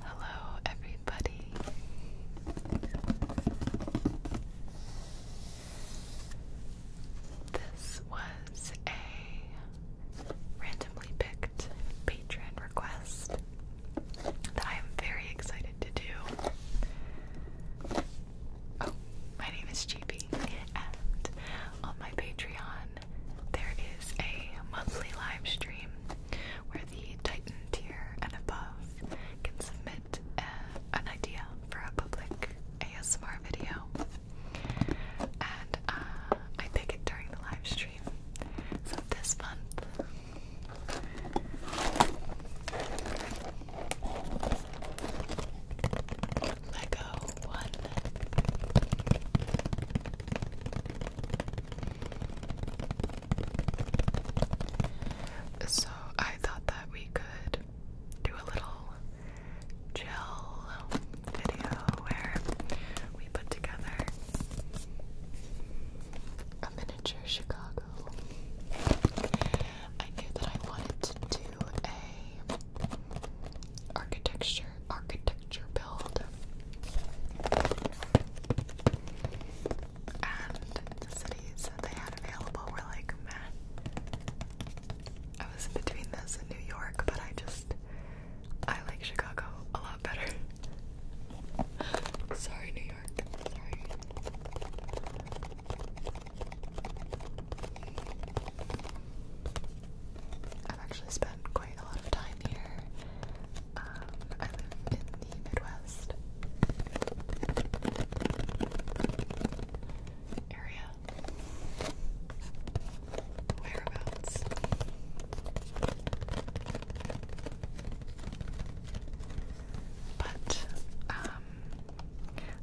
Hello, everybody. This was a randomly picked patron request that I am very excited to do. Oh, my name is Cheapy, and on my Patreon, there is a monthly live stream where the Titan tier and above can submit uh, an idea for a public ASMR video. And uh, I pick it during the live stream. So this month. Lego one. So I thought that we could do a little gel video where we put together a miniature Chicago. I knew that I wanted to do a architecture architecture build. And the cities they had available were like meh. I was in between this and New York, but I just I like Chicago a lot better. Sorry, New York. Sorry. I've actually spent quite a lot of time here. Um, I live in the Midwest area. Whereabouts? But um,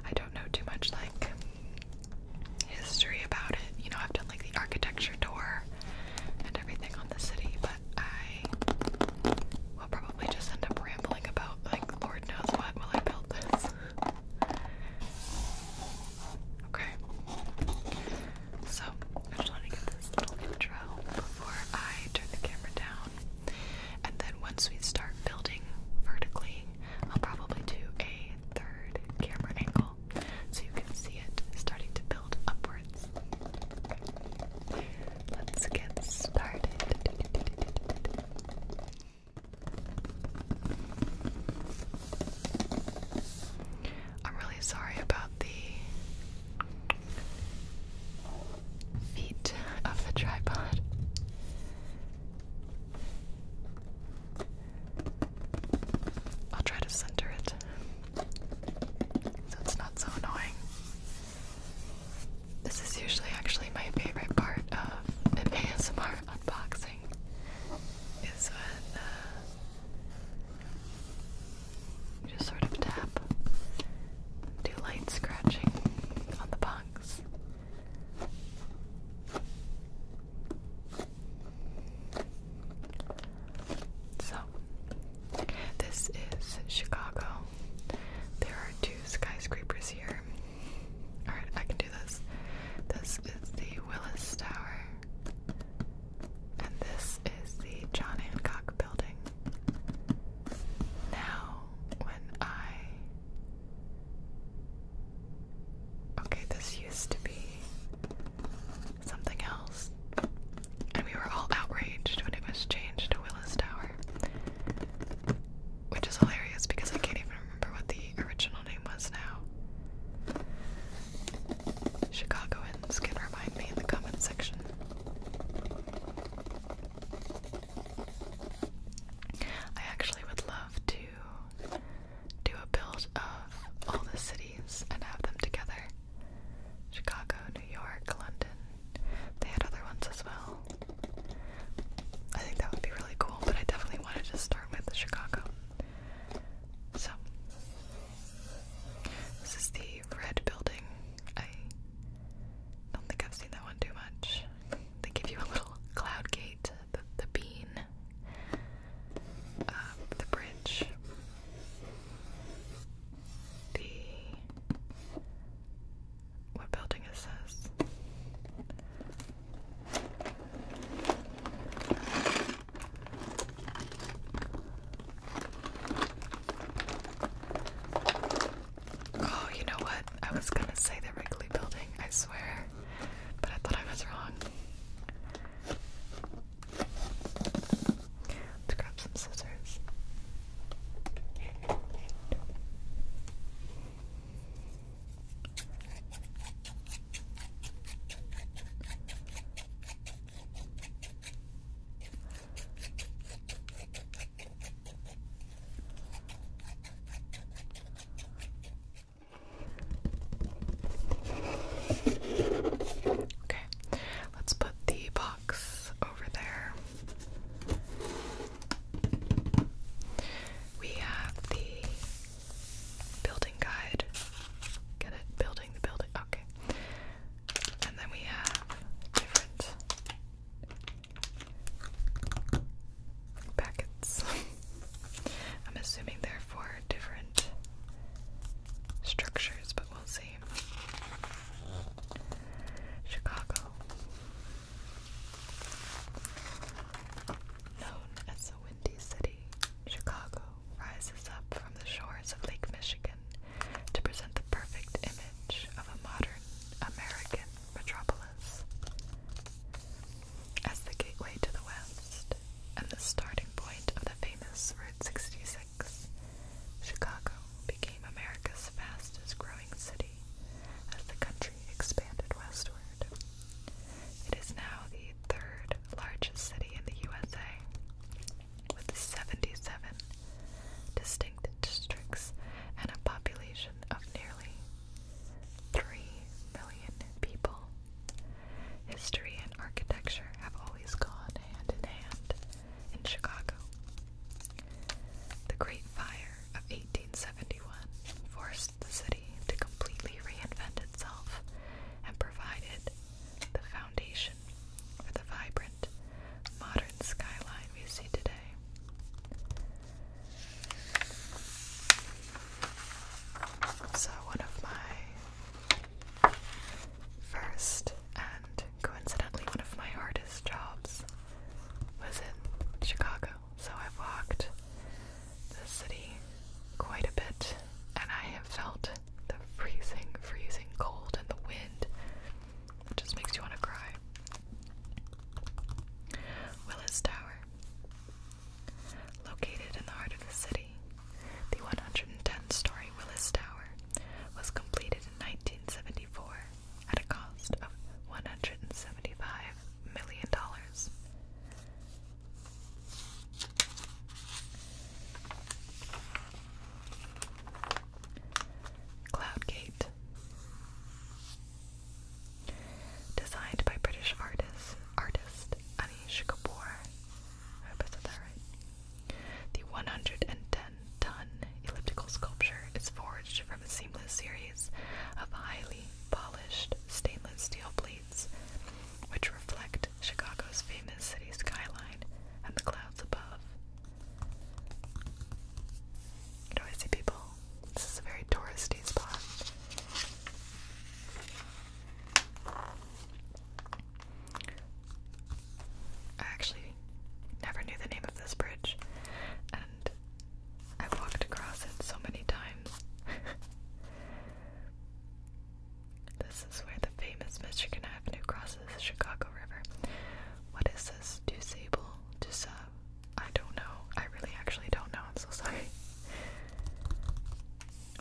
I don't know too much like history about it. You know, I've done like the architecture tour and everything on the city, but I will probably just end up rambling about like Lord knows what while I build this. Okay. So I just want to get this little intro before I turn the camera down. And then once we start building vertically, I'll probably do a third camera angle so you can see it starting to build upwards. Let's get started. I'm really sorry about the feet of the tripod. I'll try to center it so not so annoying. This is usually actually my favorite part of ASMR unboxing is when uh, you just sort of tap, do light scratching on the box. So, this is Chicago. There are two skyscrapers here. Alright, I can do this. This is the Willis Tower, and this is the John Hancock Building. Now, when I. Okay, this used to be something else. And we were all outraged when it was changed to Willis Tower. Which is hilarious because I can't even remember what the original name was now. Chicagoans can remind me in the comment section. I actually would love to do a build of all the cities and have them together Chicago, New York, London. They had other ones as well. I think that would be really cool, but I definitely wanted to start with Chicago. So, this is the red building. I don't think I've seen that one too much. They give you a little cloud gate, the bean. Um, the bridge, the what building is this? Oh, you know what? I was gonna say the Wrigley building, I swear, but I thought I was wrong. Let's grab some scissors. Okay, let's put the box over there. We have the building guide. Get it? Building the building. Okay. And then we have different packets. I'm assuming they're for different structures, but Chicago, known as the Windy City, Chicago rises up from the shores of Lake Michigan to present the perfect image of a modern American metropolis. As the gateway to the West and the starting point of the famous Route 66, Chicago became America's fastest growing city as the country expanded westward. It is now the third largest city in the USA, with 77 distinct districts and a population of nearly 3 million people. History and architecture have always gone hand in hand in Chicago. The Great Fire of 1871 forced the city to completely reinvent itself and provided the foundation for the vibrant modern skyline we see today. So, one of my first, and coincidentally, one of my hardest jobs was in Chicago. So I've walked the city quite a bit, and I have felt the freezing, freezing cold and the wind. just makes you want to cry. Willis Tower. Located in the heart of the city, the 110-story Willis Tower was completed in 1974 at a cost of $175 million. Cloudgate Designed by British artist, artist Anish Kapoor. I hope I said that right. The 110-ton elliptical sculpture is forged from a seamless series of highly polished stainless steel plates, which reflect Chicago's famous city skyline and the clouds above. You I see people. This is a very touristy spot. I actually never knew the name of this bridge, and I walked across it so many times. this is where the famous Michigan Avenue crosses the Chicago River. What is this? Do sable? Do sub? I don't know. I really actually don't know. I'm so sorry.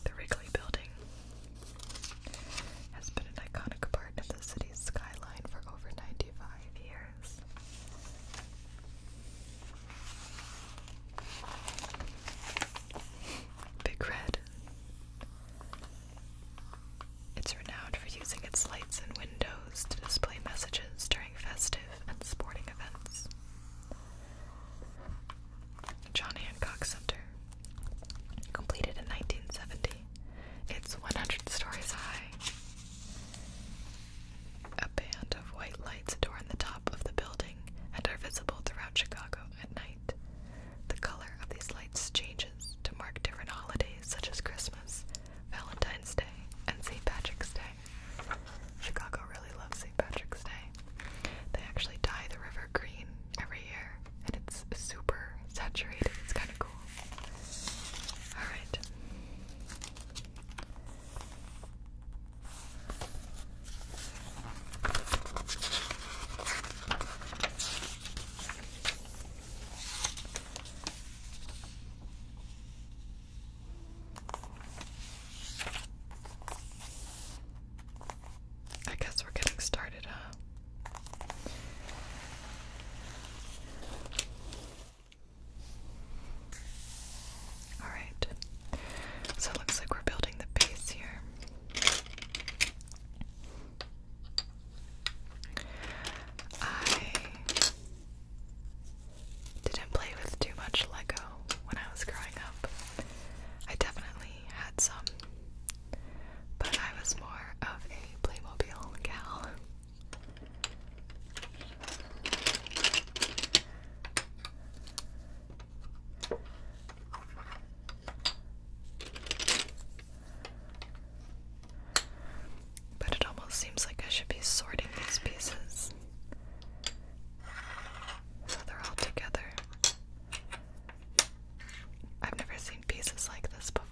The Wrigley Building has been an iconic part of the city's skyline for over 95 years. Big Red. It's renowned for using its lights and windows to display messages during festive and sporting events. John Hancock Center, completed in 1970. It's 100 stories high. A band of white lights adorn the top of the building and are visible throughout Chicago at night. The color of these lights changes to mark different holidays such as Christmas, Valentine's Day, and St. Patrick's Day. Chicago really loves St. Patrick's Day. They actually dye the river green every year and it's super saturated. It's kind of cool. All right. I guess we're getting started, huh? Alright, so it looks like we're building the base here. I didn't play with too much Lego when I was growing up. I definitely had some but I was more of a Playmobil gal. But it almost seems like I should be sorting these pieces so they're all together. I've never seen pieces like this before.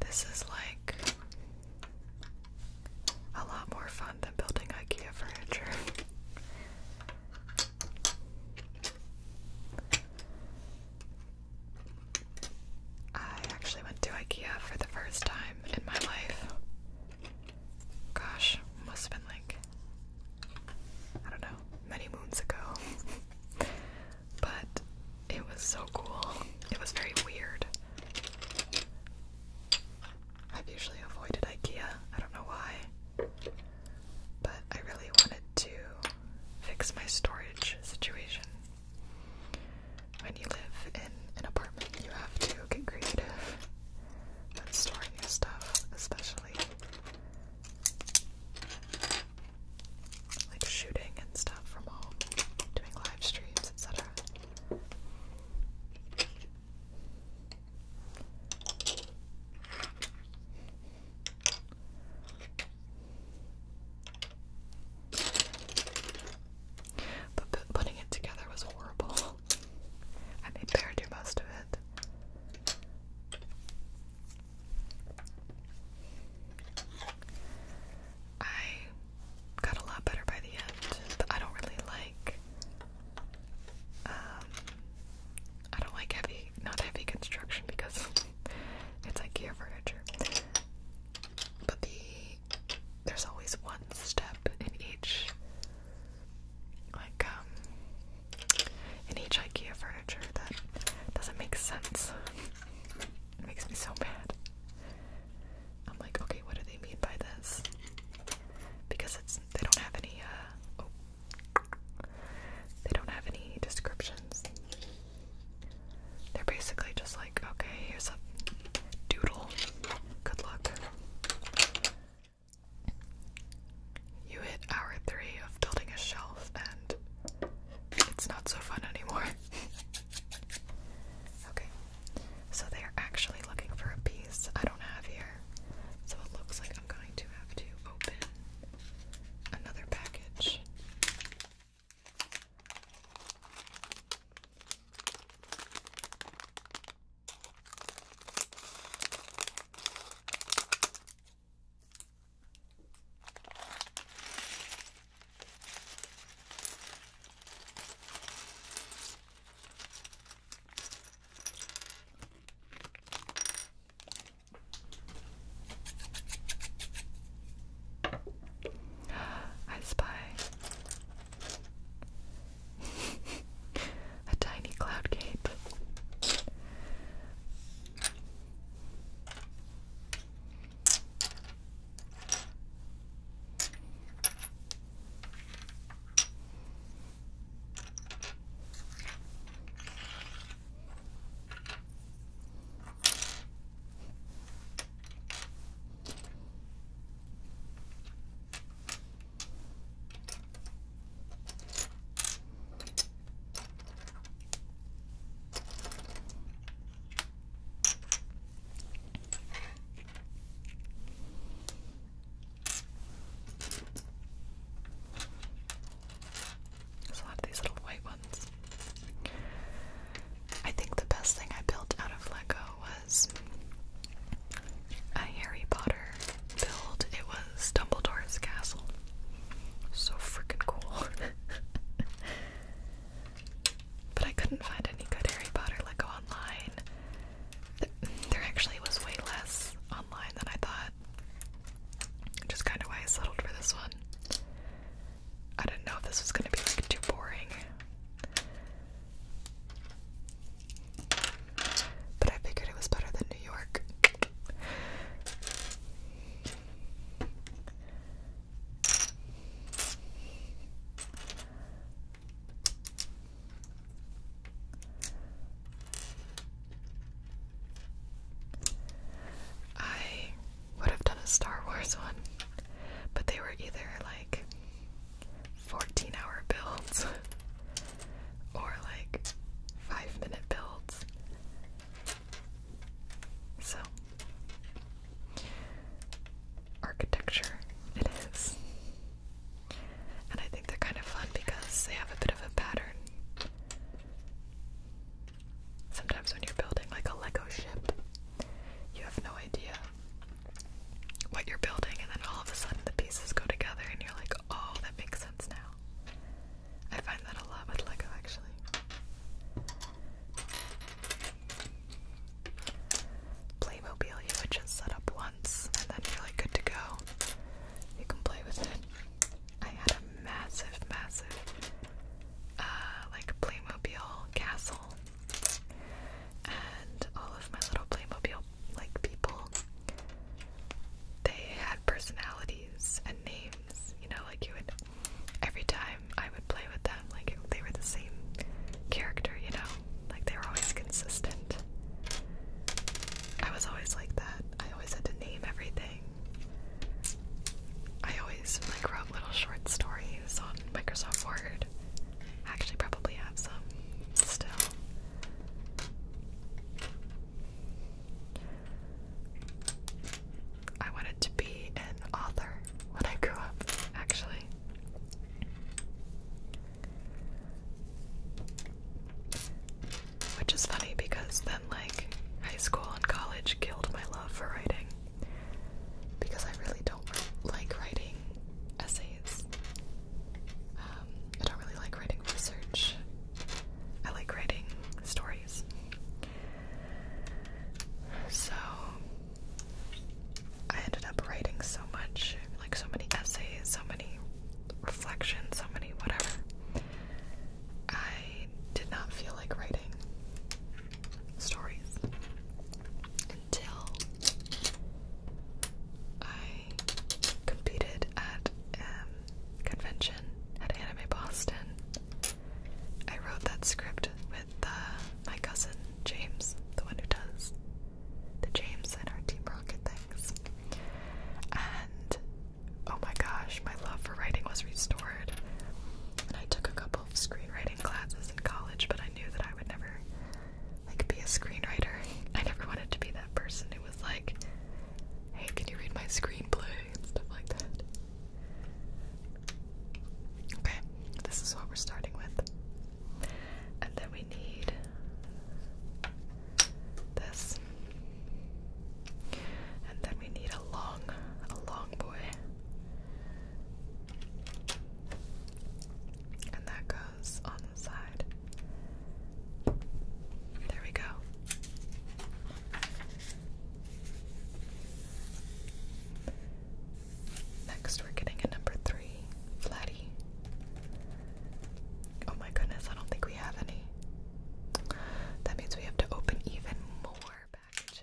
This is like a lot more fun than building IKEA furniture. I actually went to IKEA for the first time in my life. Gosh, must have been like, I don't know, many moons ago. but it was so cool. It was very weird. I've usually avoided IKEA, I don't know why. But I really wanted to fix my storage situation when you live in an apartment, you have to get creative when storing your stuff, especially like shooting and stuff from home, doing live streams, etc. But putting it together was horrible. I made Bear do most of it. I got a lot better by the end, I don't really like. Um, I don't like heavy, not heavy construction because it's IKEA furniture. But the there's always one step in each like um, in each IKEA furniture that doesn't make sense. It makes me so mad. I'm like, okay, what do they mean by this? Because it's they don't have any uh oh, they don't have any descriptions. They're basically just like, okay, here's a doodle Good luck. You hit hour three of building a shelf, and it's not so fun anymore. okay, so they are actually looking for a piece I don't have here, so it looks like I'm going to have to open another package. I spy. A tiny cloud gate. There's a lot of these little white ones. I think the best thing I built out of Lego was a Harry Potter build. It was Dumbledore's castle. So freaking cool. but I couldn't find any good Harry Potter Lego online. There actually was way less online than I thought. Which kind of why I settled for this one. I didn't know if this was going to be like too boring. But I figured it was better than New York. I would have done a Star Wars one, but they were either like 14 hour builds or like 5 minute builds. So, architecture it is. And I think they're kind of fun because they have a bit of a pattern. Sometimes when you're building like a Lego ship, you have no idea what you're building, and then all of a sudden the pieces go together, and you're like, oh, that makes sense now. I find that a lot with Lego actually. Playmobil, you would just set up once and then you're like good to go. You can play with it. I had a massive, massive, uh, like Playmobil castle and all of my little Playmobil like people they had personalities and names, you know, like you would every time I would play with them, like it, they were the same character, you know, like they were always consistent. I was always like that. I always had to name everything. I always like wrote little short stories on Microsoft Word. I actually probably have some still. I wanted to be an author when I grew up, actually. Which is funny because then, like, high school and college killed my love for writing. Because I really don't like writing essays um, I don't really like writing research. I like writing stories. So I ended up writing so much, like so many essays, so many reflections, so many whatever. I did not feel like writing stories until I competed at um, convention at Anime Boston. I wrote that script with uh, my cousin James, the one who does the James and our Team Rocket things. And oh my gosh, my love for writing was restored. And I took a couple of screenwriting classes in college, but I knew that I would never I could be a screenwriter. I never wanted to be that person who was like, "Hey, can you read my screenplay?" and stuff like that. Okay, this is what we're starting with, and then we need this, and then we need a long, a long boy. And that goes on the side. There we go. Next, we're getting a number three, Flatty. Oh my goodness, I don't think we have any. That means we have to open even more packages.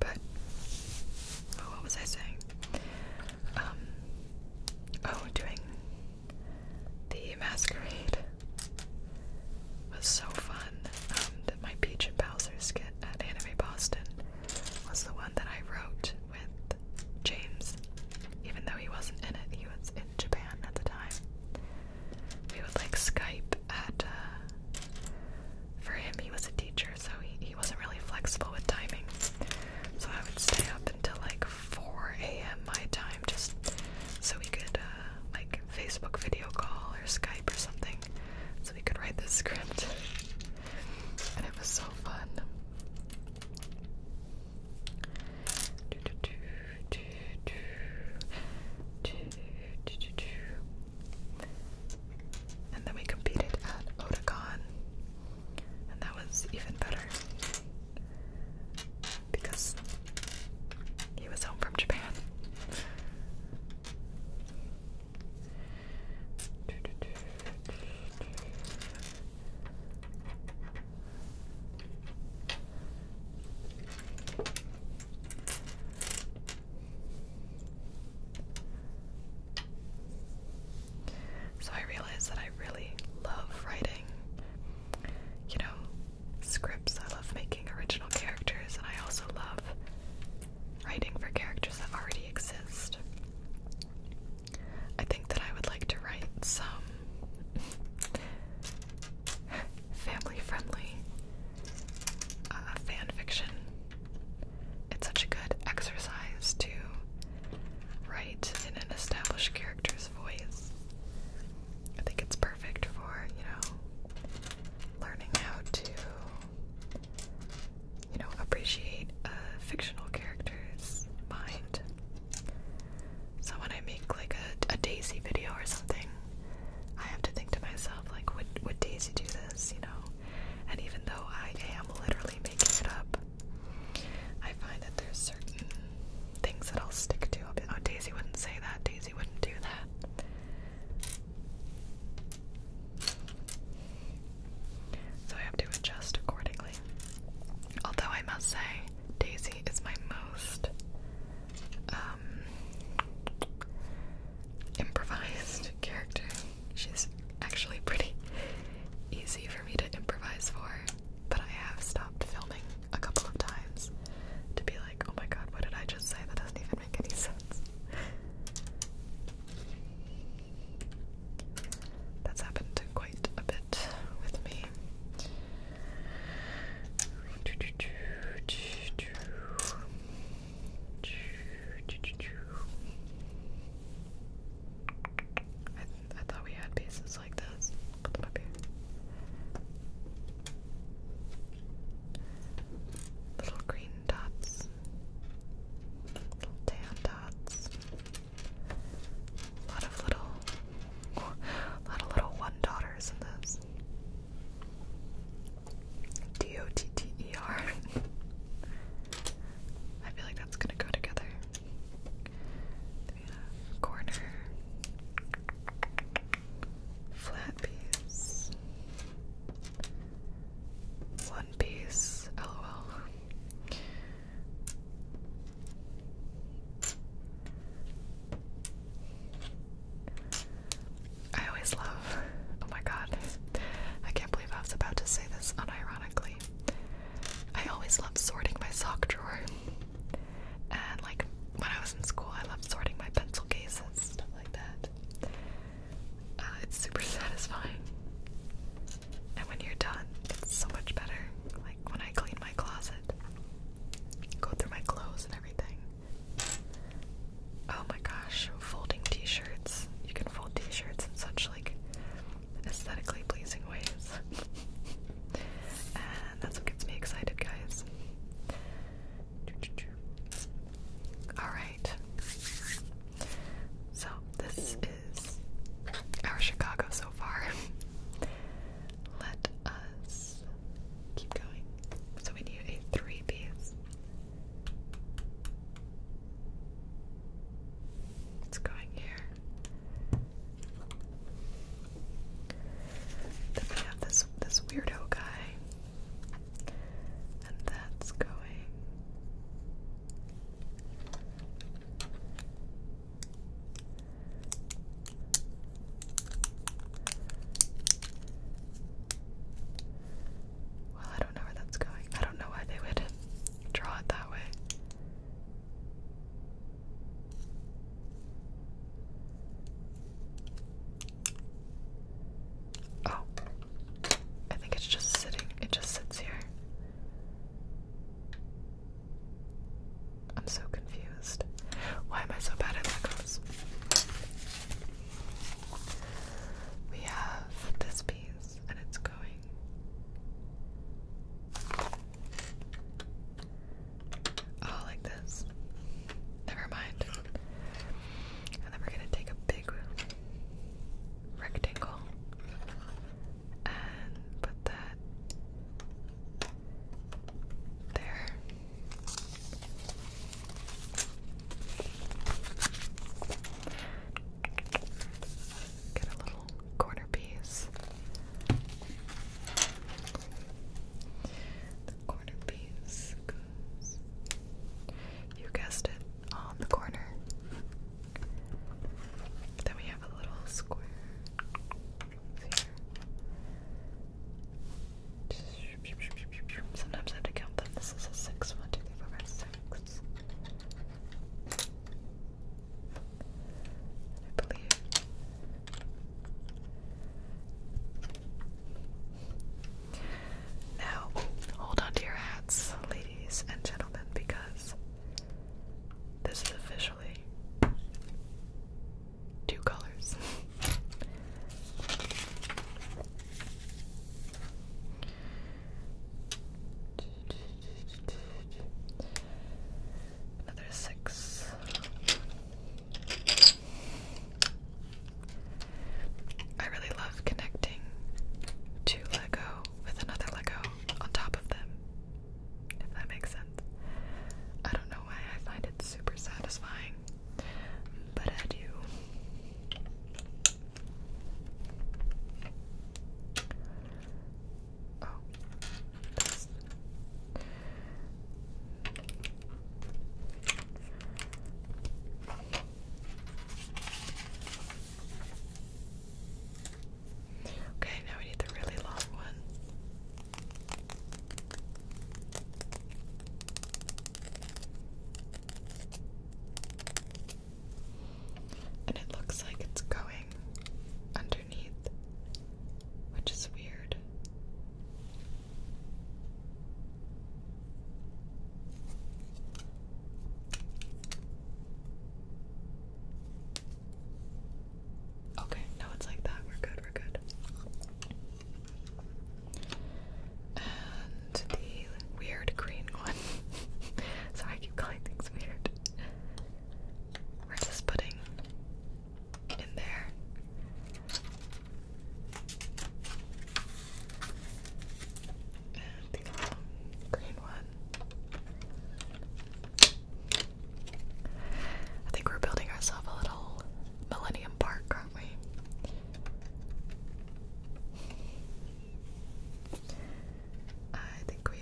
But oh, what was I saying? Um, oh, doing the masquerade was so fun. Um, that my Peach and Bowser skit at Anime Boston was the one that I wrote with James, even though he wasn't in it. He was Japan at the time. We would like Skype at. Uh, for him, he was a teacher, so he, he wasn't really flexible with timing. So I would stay up until like 4 a.m. my time just so we could uh, like Facebook video call or Skype or something so we could write the script. And it was so fun. And then we competed at Oticon, and that was even better because he was home from Japan. So I realized that I really love writing, you know, scripts. I love making original characters, and I also love writing for characters that already exist. I think that I would like to write some family friendly uh, fan fiction. It's such a good exercise to write in an established character's voice. I think it's perfect for, you know, learning how to, you know, appreciate fictional character's mind. So when I make like a, Daisy video or something, I have to think to myself like, would would Daisy do this? You know. And even though I am literally making it up, I find that there's certain things that I'll stick to. But, oh, Daisy wouldn't say that. Daisy wouldn't do that. So I have to adjust accordingly. Although I must say, Daisy is my most um, improvised character. She's actually pretty easy for me to improvise for, but I have stopped filming a couple of times to be like, oh my god, what did I just say? That doesn't even make any sense. That's happened quite a bit with me. I, thought we had pieces like this. Little green dots. Little tan dots. A lot of little, a lot of little one daughters in this. D O T T E R. I feel like that's gonna go together. Corner, flat piece, one piece, lol. I always love. Oh my god. I can't believe I was about to say this unironically. I always love sorting my sock drawer. And like when I was in school, I loved sorting my pencil cases, stuff like that. Uh, it's super satisfying. And when you're done, it's so much better. Like, when I clean my closet. Go through my clothes and everything. Oh my gosh, folding t-shirts. You can fold t-shirts in such like aesthetically pleasing ways. and that's what gets me excited, guys. Alright. So this is our Chicago so far. Let us keep going. So we need a three piece. It's going here. Then we have this this weirdo guy. And that's going well, I don't know where that's going. I don't know why they would draw it that way. Oh. I think it's just sitting. It just sits here. I'm so confused. Why am I so bad at Legos? We have this piece, and it's going. Oh, like this. Never mind. And then we're gonna take a big rectangle and put that there. Get a little corner piece. corner piece You guessed it, on the corner. Then we have a little square. Sometimes I have to count them. This is a six. One, two, three, four, five, six. I believe. Now, hold on to your hats, ladies and gentlemen, because this is a two colors. Another six. I really love connecting two Lego with another Lego on top of them, if that makes sense. I don't know I find it super satisfying, but I do. Oh, okay, now we need the really long one. And it looks like it's going underneath, which is weird. Okay, now it's like that. We're good, we're good. And the weird green one. Sorry, I keep calling things weird. We're just putting in there. And the green one. I think we're building ourselves a little Millennium Park, aren't we? I think we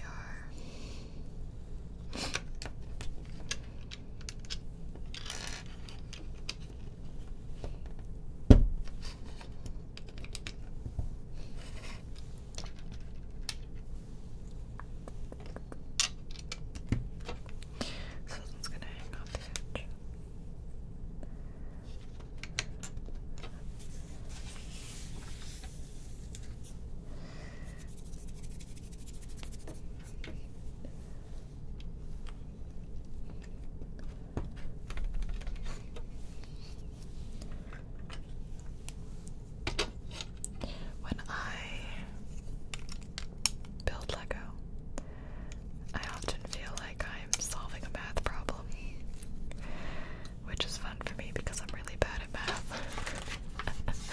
are. So this gonna hang off the edge. When I build Lego. I often feel like I'm solving a math problem, which is fun for me because I'm really bad at math.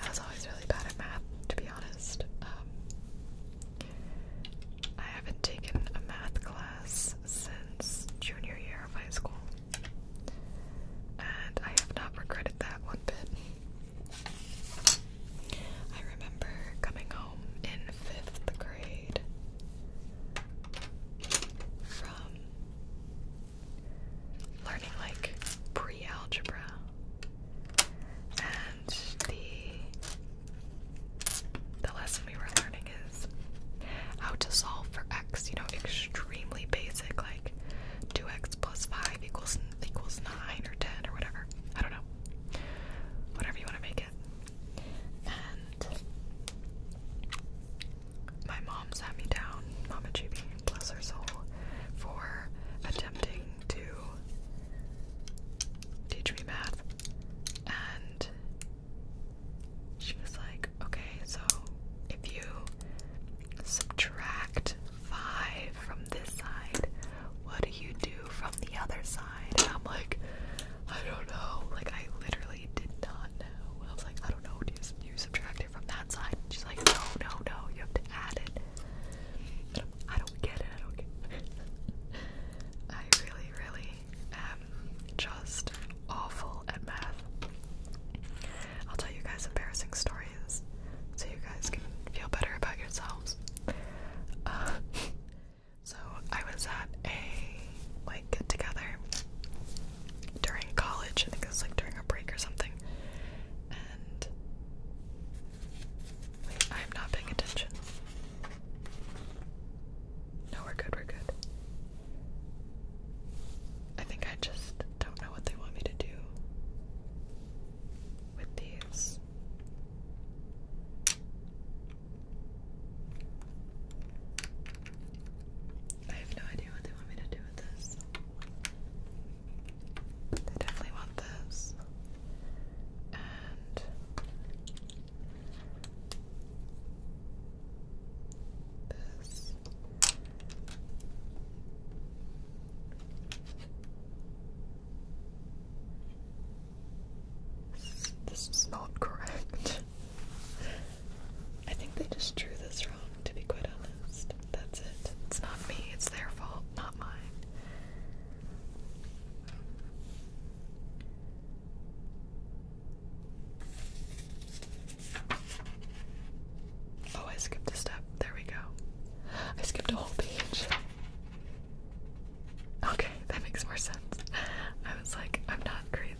I was always really bad at math, to be honest. Um, I haven't taken a math class since junior year of high school, and I have not regretted that one bit. I remember coming home in fifth grade from learning like pre algebra and the the lesson we were learning is how to solve for x, you know, extremely basic like 2x plus 5 equals equals 9 or 10 or whatever. I don't know. Whatever you want to make it. And my mom sat me down, Mama Chibi, bless her soul, for attempting to teach me math. And she was like, okay, so if you subtract five from this side. What do you do from the other side? And I'm like, I don't know. Like, I literally did not know. I was like, I don't know. Do you, subtract it from that side? she's like, no, no, no. You have to add it. I do not get it. I don't I really, really am just awful at math. I'll tell you guys embarrassing story so you guys can feel better about yourselves. Uh, so I was at a like get together during college. I think it was like during a break or something. And I'm not paying attention. No, we're good, we're good. I think I just don't know what they want me to do with these. I have no idea what they want me to do with this. They definitely want this. And this. This is not correct. I think they just drew this wrong, to be quite honest. That's it. It's not me, it's their fault, not mine. Oh, I skipped a step. There we go. I skipped a whole page. Okay, that makes more sense. I was like, I'm not crazy.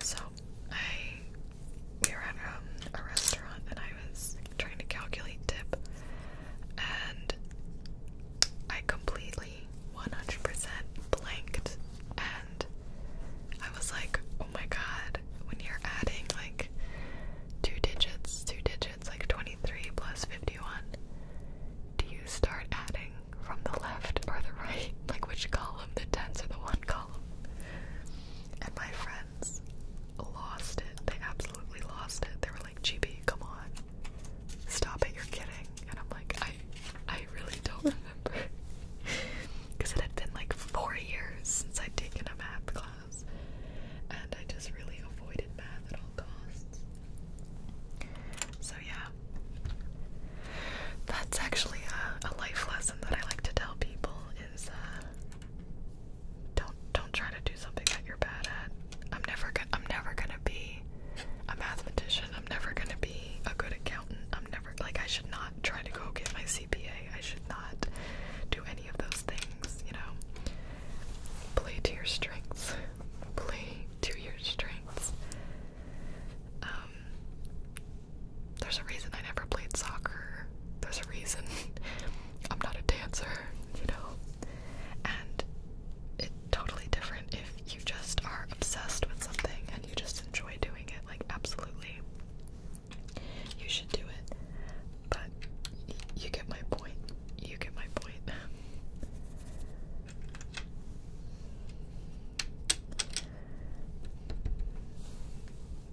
So I we were at um, a restaurant and I was trying to calculate tip and I completely 100% blanked and I was like, oh my god, when you're adding like two digits, two digits, like 23 plus 51. Do you start adding from the left or the right? Like which column, the tens or the one column? And my friends lost it. They absolutely lost it. They were like, GB, come on. Stop it, you're kidding. And I'm like, I I really don't remember. Because it had been like four years since I'd taken a math class, and I just really avoided math at all costs. So, yeah, that's actually a, a life lesson that I like to tell people is uh, don't don't try to do something that you're bad at. I'm never gonna I'm never gonna be a mathematician. I'm never gonna be a good accountant. I'm never like I should not try to go get my CPA. I should not do any of those things, you know. Play to your strengths. Play to your strengths. Um there's a reason I never played soccer. There's a reason I'm not a dancer, you know. And it's totally different if you just are obsessed with something and you just enjoy doing it, like, absolutely. You should do it. But you get my point. You get my point.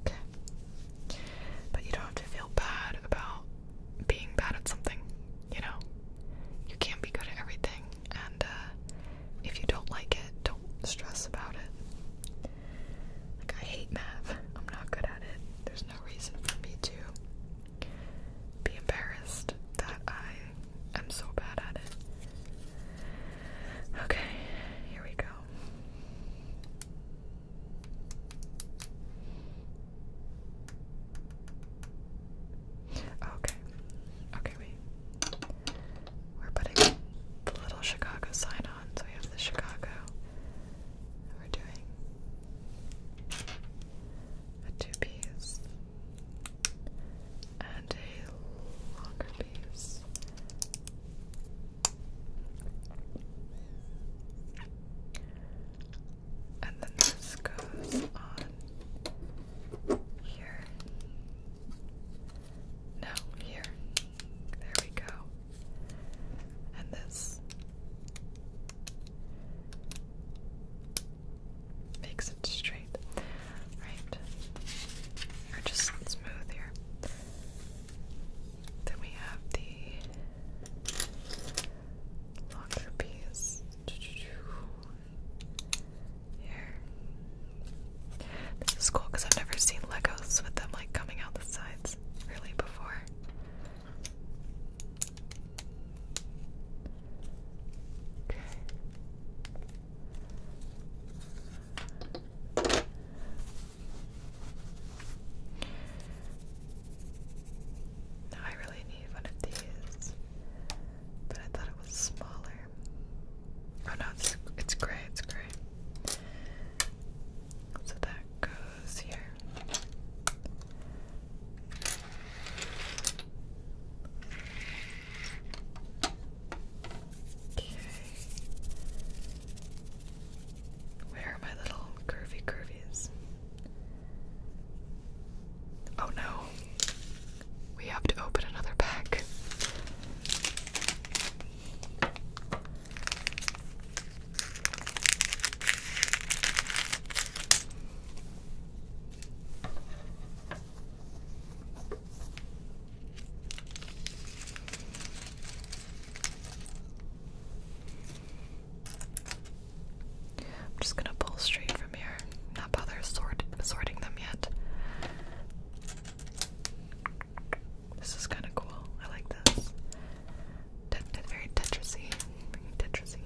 But you don't have to feel bad about being bad at something, you know? You can't be good at everything, and uh, if you don't like it, don't stress about it. Like, I hate math. I'm not good at it. There's no reason for me to be embarrassed that I am so bad at it. Okay, here we go. Okay. Okay, wait. We're putting the little Chicago sign on, so we have the Chicago. we're doing a two piece and a longer piece. And then this goes on here. No, here. There we go. And this makes it straight. Right. Or just smooth here. Then we have the longer piece. Here. This is cool because I've never seen Legos with them like coming out the sides really before. Okay. I really need one of these, but I thought it was smaller. Oh no, it's it's gray, it's gray. So that goes here. Okay. Where are my little curvy curvies? Oh no. We have to open another pack. I'm just gonna pull straight from here, not bother sort sorting them yet. This is kind of cool. I like this. very Tetrisy, Tetrisy.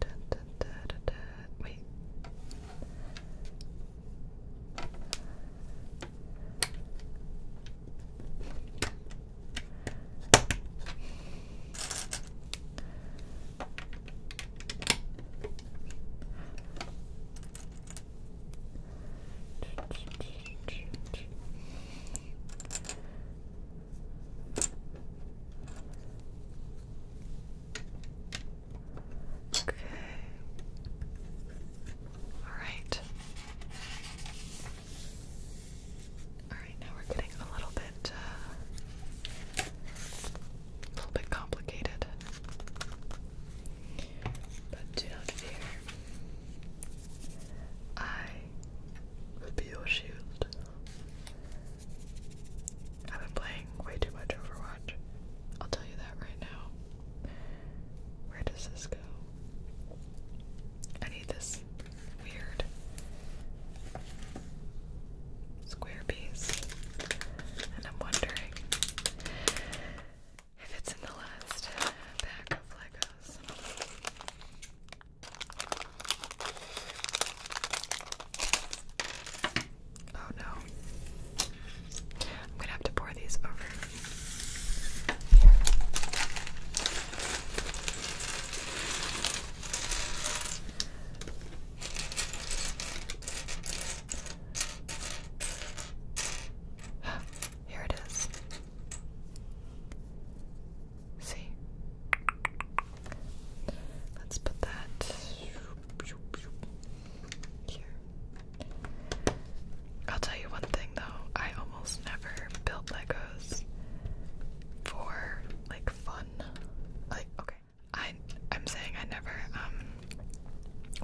Da, da, da, da, da. Wait. Okay. All right. All right, now we're getting a little bit uh, a little bit complicated. But do not fear. I will be your shield. I've been playing way too much Overwatch. I'll tell you that right now. Where does this go? I need this weird square piece. And I'm wondering if it's in the last pack of Legos. Oh no. I'm gonna have to pour these over here. Here it is. See? Let's put that I'll tell you one thing though, I almost never built Legos for like fun. Like, okay, I I'm saying I never um,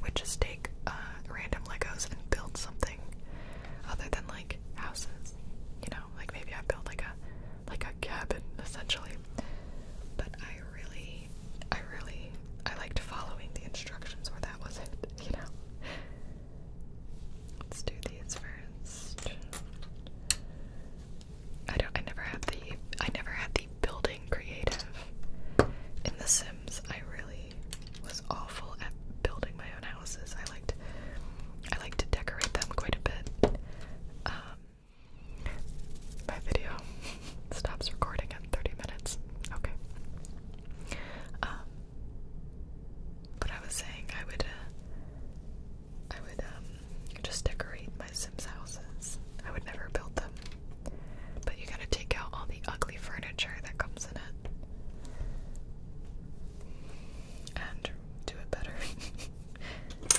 would just take uh, random Legos and build something other than like houses. You know, like maybe I built like a like a cabin essentially. But I really I really I liked following the instructions where that was it, you know. Let's do these first. I don't. I never had the. I never had the building creative in The Sims. I really was awful at building my own houses. I liked. I like to decorate them quite a bit. Um, my video stops recording at 30 minutes. Okay. Um, but I was saying I would. Uh, I would um, just decorate my Sims houses. I would never build them. But you gotta take out all the ugly furniture that comes in it. And do it better.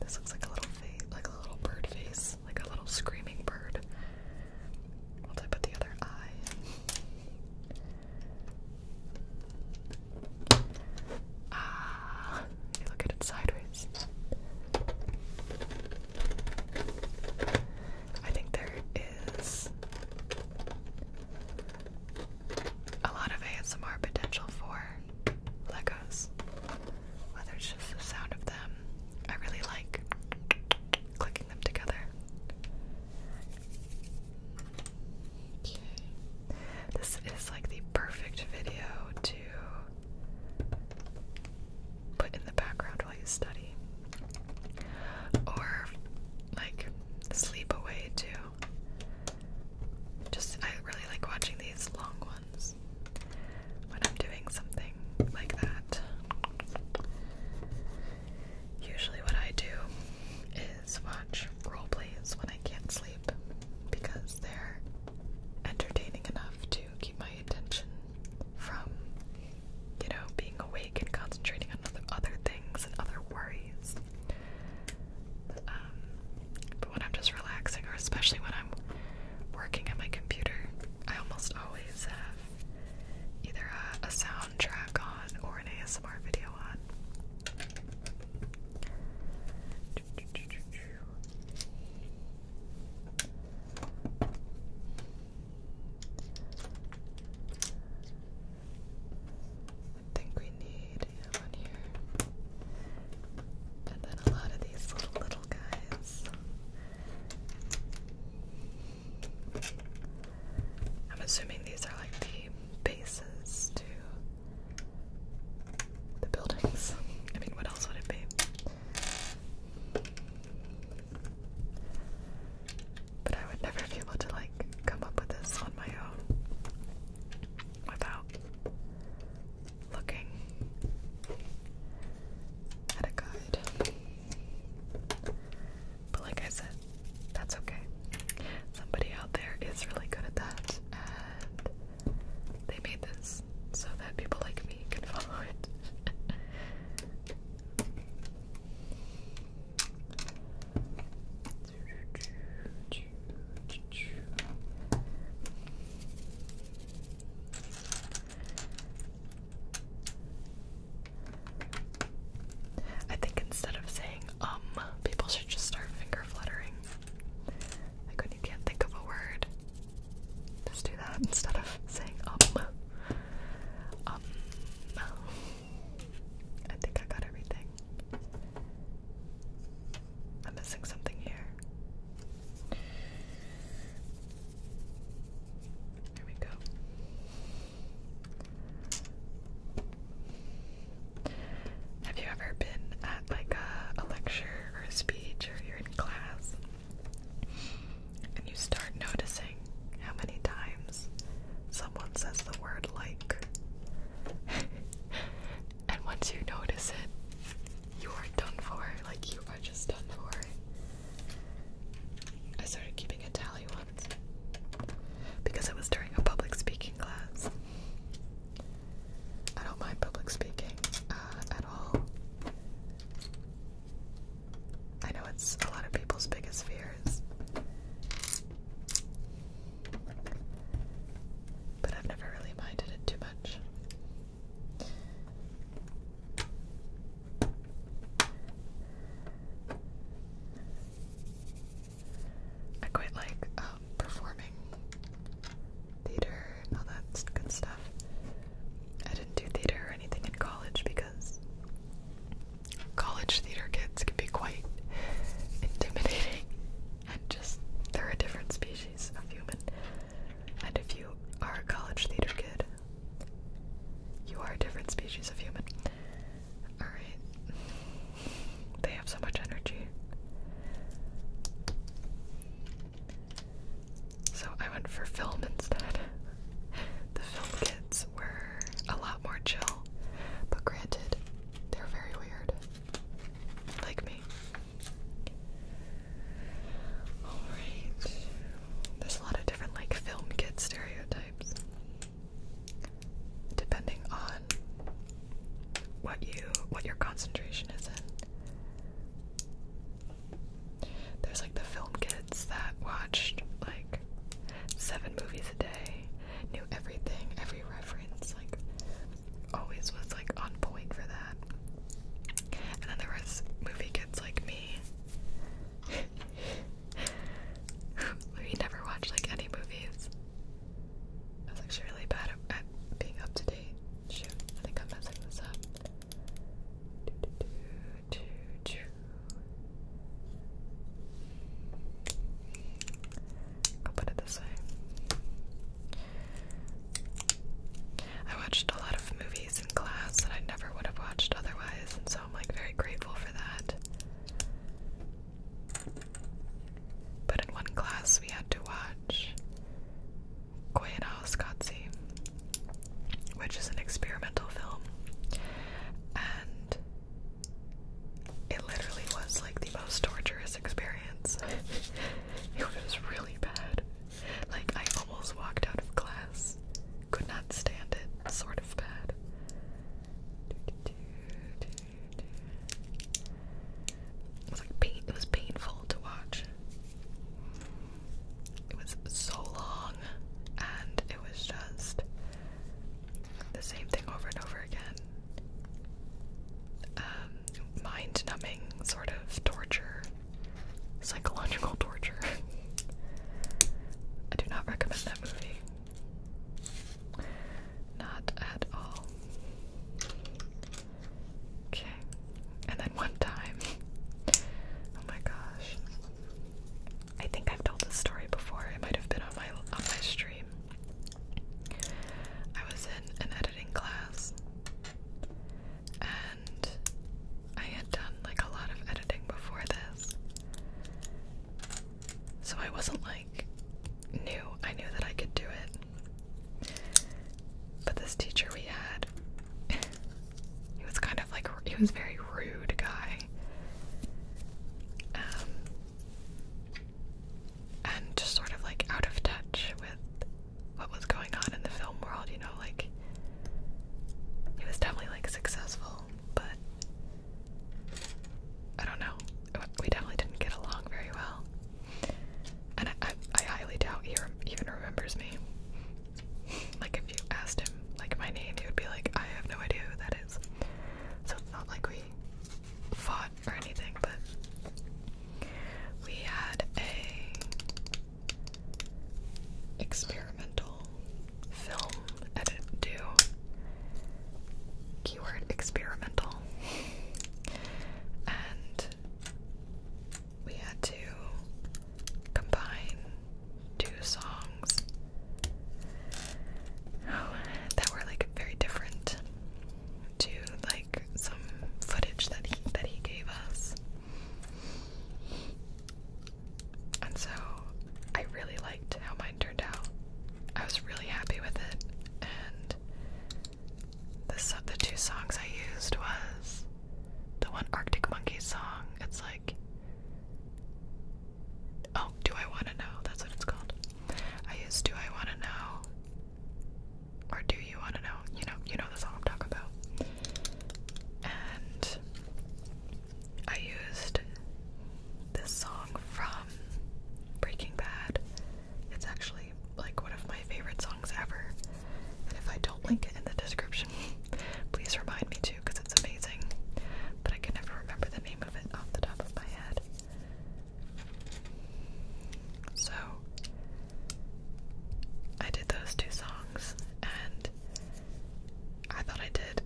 this looks like a little face, like a little bird face, like a little screaming bird. Once I put the other eye Ah, you look at it sideways. I think there is a lot of ASMR potential for Legos. Whether it's just the sound of them, I really like clicking them together. This is like the perfect video to put in the background while you study. Or like sleep away too. Just I really like watching these long ones when I'm doing something like that. Usually what I do is watch role plays when I can't sleep because they're entertaining enough to keep my attention from, you know, being awake and concentrating on other, other things and other worries. Um, but when I'm just relaxing, or especially when I'm working at my computer, I almost always have either a, a soundtrack on or an ASMR video on. I think we need one here. And then a lot of these little little guys. I'm assuming these are like the bases to the buildings. I mean, what else would it be? But I would never be able to like come up with this on my own without looking at a guide. But like I said, that's okay. Somebody out there is really good at that, and they made this so that people like me can follow it. I think instead of saying um, people should just start finger fluttering. Like when you can't think of a word, just do that instead of saying um. Um. I think I got everything. I'm missing something here. There we go. Have you ever been like a, a lecture or a speech or you're in class and you start noticing how many times someone says the word like. and once you notice it, you are done for. Like, you are just done for. I started keeping a tally once because it was during a public speaking class. I don't mind public speaking uh, at all. I know it's a lot of people's biggest fears. But I've never really minded it too much. I quite like um, performing theater all that good stuff. I didn't do theater or anything in college because college theater kids can be quite intimidating and just they're a different species of human. And if you are a college theater kid, you are a different species of human. Alright. They have so much energy. So I went for film instead. the film kids were a lot more chill, but granted, they're very weird. Like me. Alright. There's a lot of different like film kid stereotypes. Depending on what you what your concentration is in. There's like the film kids that watched like seven movies a day, knew everything, every reference, like always was like on point for that. And then there was movie kids like me. we never watched like any movies. I was actually really bad at being up to date. I think I'm messing this up. I'll put it this way. I watched a lot of movies in class that I never would have watched otherwise, and so I'm like very grateful for that. But in one class, we had to watch Koyaanisqatsi, which is an experimental film, and it literally was like the most torturous experience. it was really bad. Like I almost walked out of class. Could not stand it. Sort of bad. It was like pain. It was painful to watch. It was so long, and it was just the same thing over and over again. Um, mind-numbing sort of torture, psychological torture. I do not recommend that movie. Not at all. Okay, and then one time. Oh my gosh. I think I've told this story before. It might have been on my on my stream. I was in an editing class and I had done like a lot of editing before this. So I wasn't like new. I knew that I could do it. But this teacher we had, he was kind of like, he was very rude guy. Um, and just sort of like out of touch with what was going on in the film world, you know, like he was definitely like successful, but I don't know. We definitely didn't get along very well. And I, highly doubt he even remembers me. Like if you asked him like my name, he would be like, I have no idea who that is. So it's not like we fought or anything, but we had a experimental film edit due. Keyword experimental. And we had to combine two songs that were like very different to like some footage that he that he gave us. And so I really liked how mine turned out. I was really happy with it and the two songs I used was the one Arctic Monkeys song. It's like, oh, do I want to know? That's what it's called. I used "Do I Want to Know" or "Do You Want to Know." You know, you know the song I'm talking about. And I used this song from Breaking Bad. It's actually like one of my favorite songs ever. And if I don't link it in the description, please remind me to because it's amazing. But I can never remember the name of it off the top of my head. So I did those two songs and I thought I did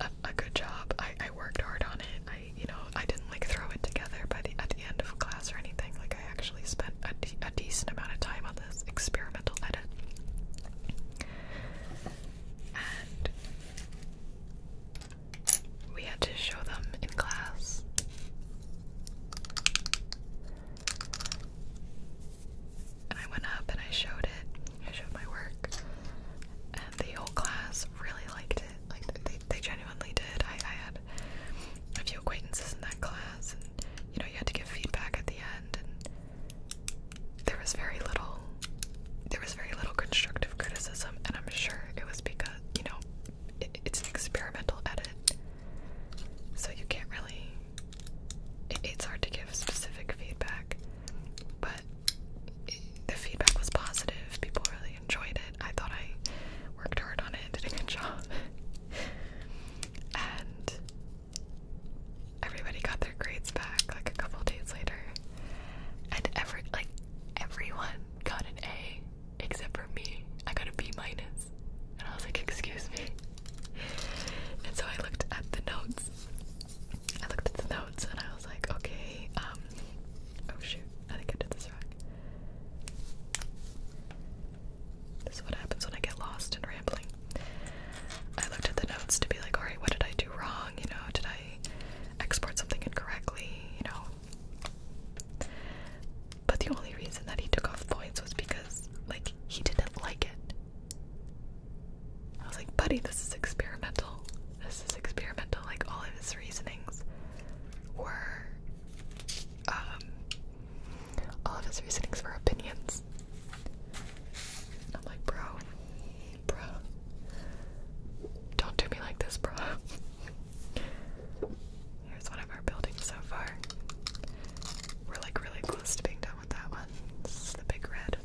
a, good job. I, I worked hard on it. I you know, I didn't like throw it together by the at the end of class or anything. Like I actually spent a, a decent amount of time on this experimental edit. And we had to show them in class. And I went up and I showed it. I showed my work. And the whole class really liked it. Like they, they genuinely did. I, I had a few acquaintances in that class, and you know you had to give feedback at the end and there was very little there was very little constructive criticism and I'm sure it was because you know it's an experimental edit so you can't really it's hard to give specific feedback but the feedback was positive people really enjoyed it I thought I worked hard on it did a good job and everybody got their grades back like a couple days later, and every like everyone got an A except for me. I got a B minus, and I was like, "Excuse me." And so I looked at the notes. I looked at the notes, and I was like, "Okay, um, oh shoot, I think I did this wrong." This is what happens when I get lost and rambling. I looked at the notes to be like, alright, what did I do wrong? You know, did I export something incorrectly? You know. But the only reason that he took off points was because, like, he didn't like it. I was like, buddy, this is experimental. This is experimental. Like, all of his reasonings were um, all of his reasonings were opinions. I'm like, bro, bro, don't do me like this, bro. Here's one of our buildings so far. We're like really close to being done with that one. the big red.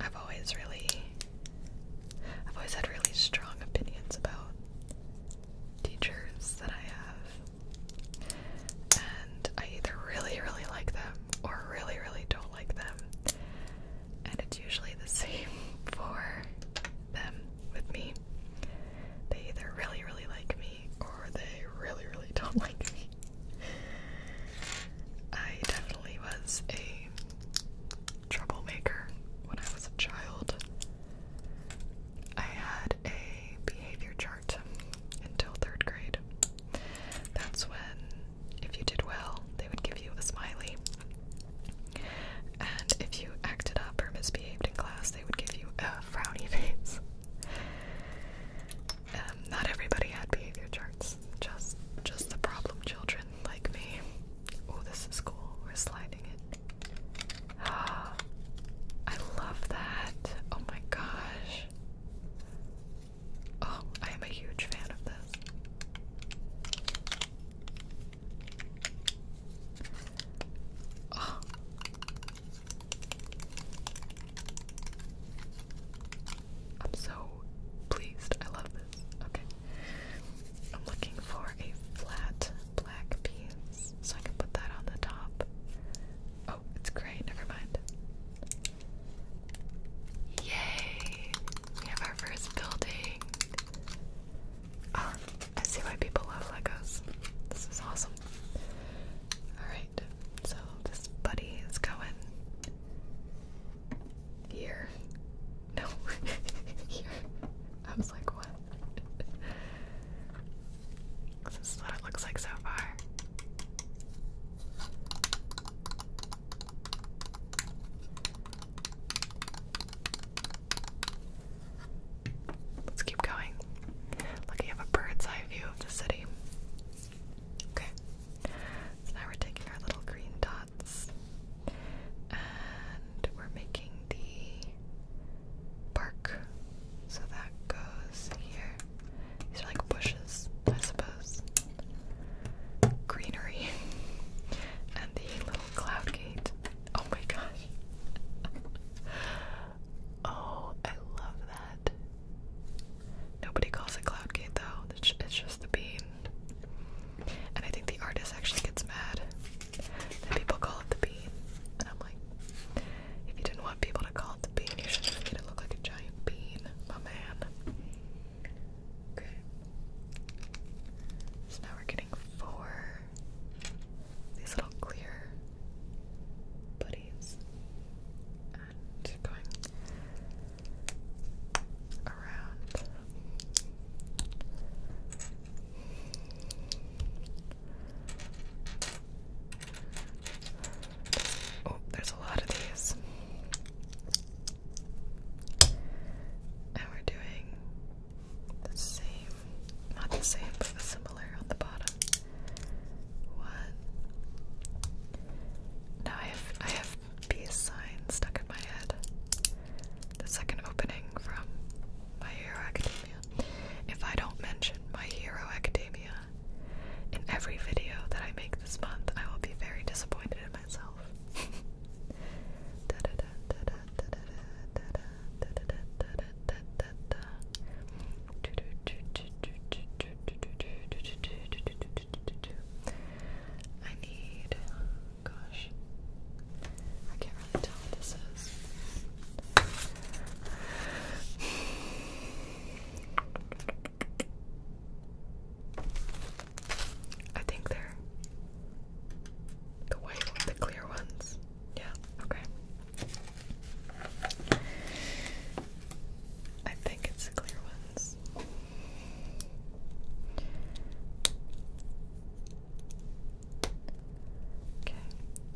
I've always really I've always had really strong opinions about teachers that I have. And I either really, really like them or really, really don't like them. And it's usually the same for them with me. They either really, really like me or they really, really don't like me. I definitely was a troublemaker when I was a child. I had a behavior chart until third grade. That's when, if you did well, they would give you a smiley. And if you acted up or misbehaved in class, they would give you a frowny face. Um, not everybody had behavior charts. Just, just the problem children like me. Oh, this is cool. We're sliding it. Ah, I love that. Oh my gosh. Oh, I am a huge fan of this. Oh. I'm so pleased. I love this. Okay. I'm looking for a flat black piece so I can put that on the top. Oh, it's gray. Never mind. Yay! We have our first building. Ah, I see why people love Legos. This is awesome. Alright. So this buddy is going here. No, here. I was like, what? this is what it looks like so far. Let's keep going. Looking at a bird's eye view of the city. Okay, so now we're taking our little green dots and we're making the bark. So that goes here. These are like bushes, I suppose. Greenery. and the little cloud gate. Oh my gosh. oh, I love that. Nobody calls it Cloud Gate though, it's, just the bean. And I think the artist actually gets mad that people call it the bean. And I'm like, if you didn't want people to call it the bean, you should just made it look like a giant bean, my man. Okay. So now we're getting four these little clear buddies going around. Oh, there's a lot of these. And we're doing the same, not the same, but similar on the bottom. One. Now I have I have peace sign stuck in my head. The second opening from My Hero Academia. If I don't mention My Hero Academia in every video that I make this month, I will be very disappointed in myself. I need, gosh, I can't really tell what this is. I think they're the white, the clear ones. Yeah, okay. I think it's the clear ones. Okay,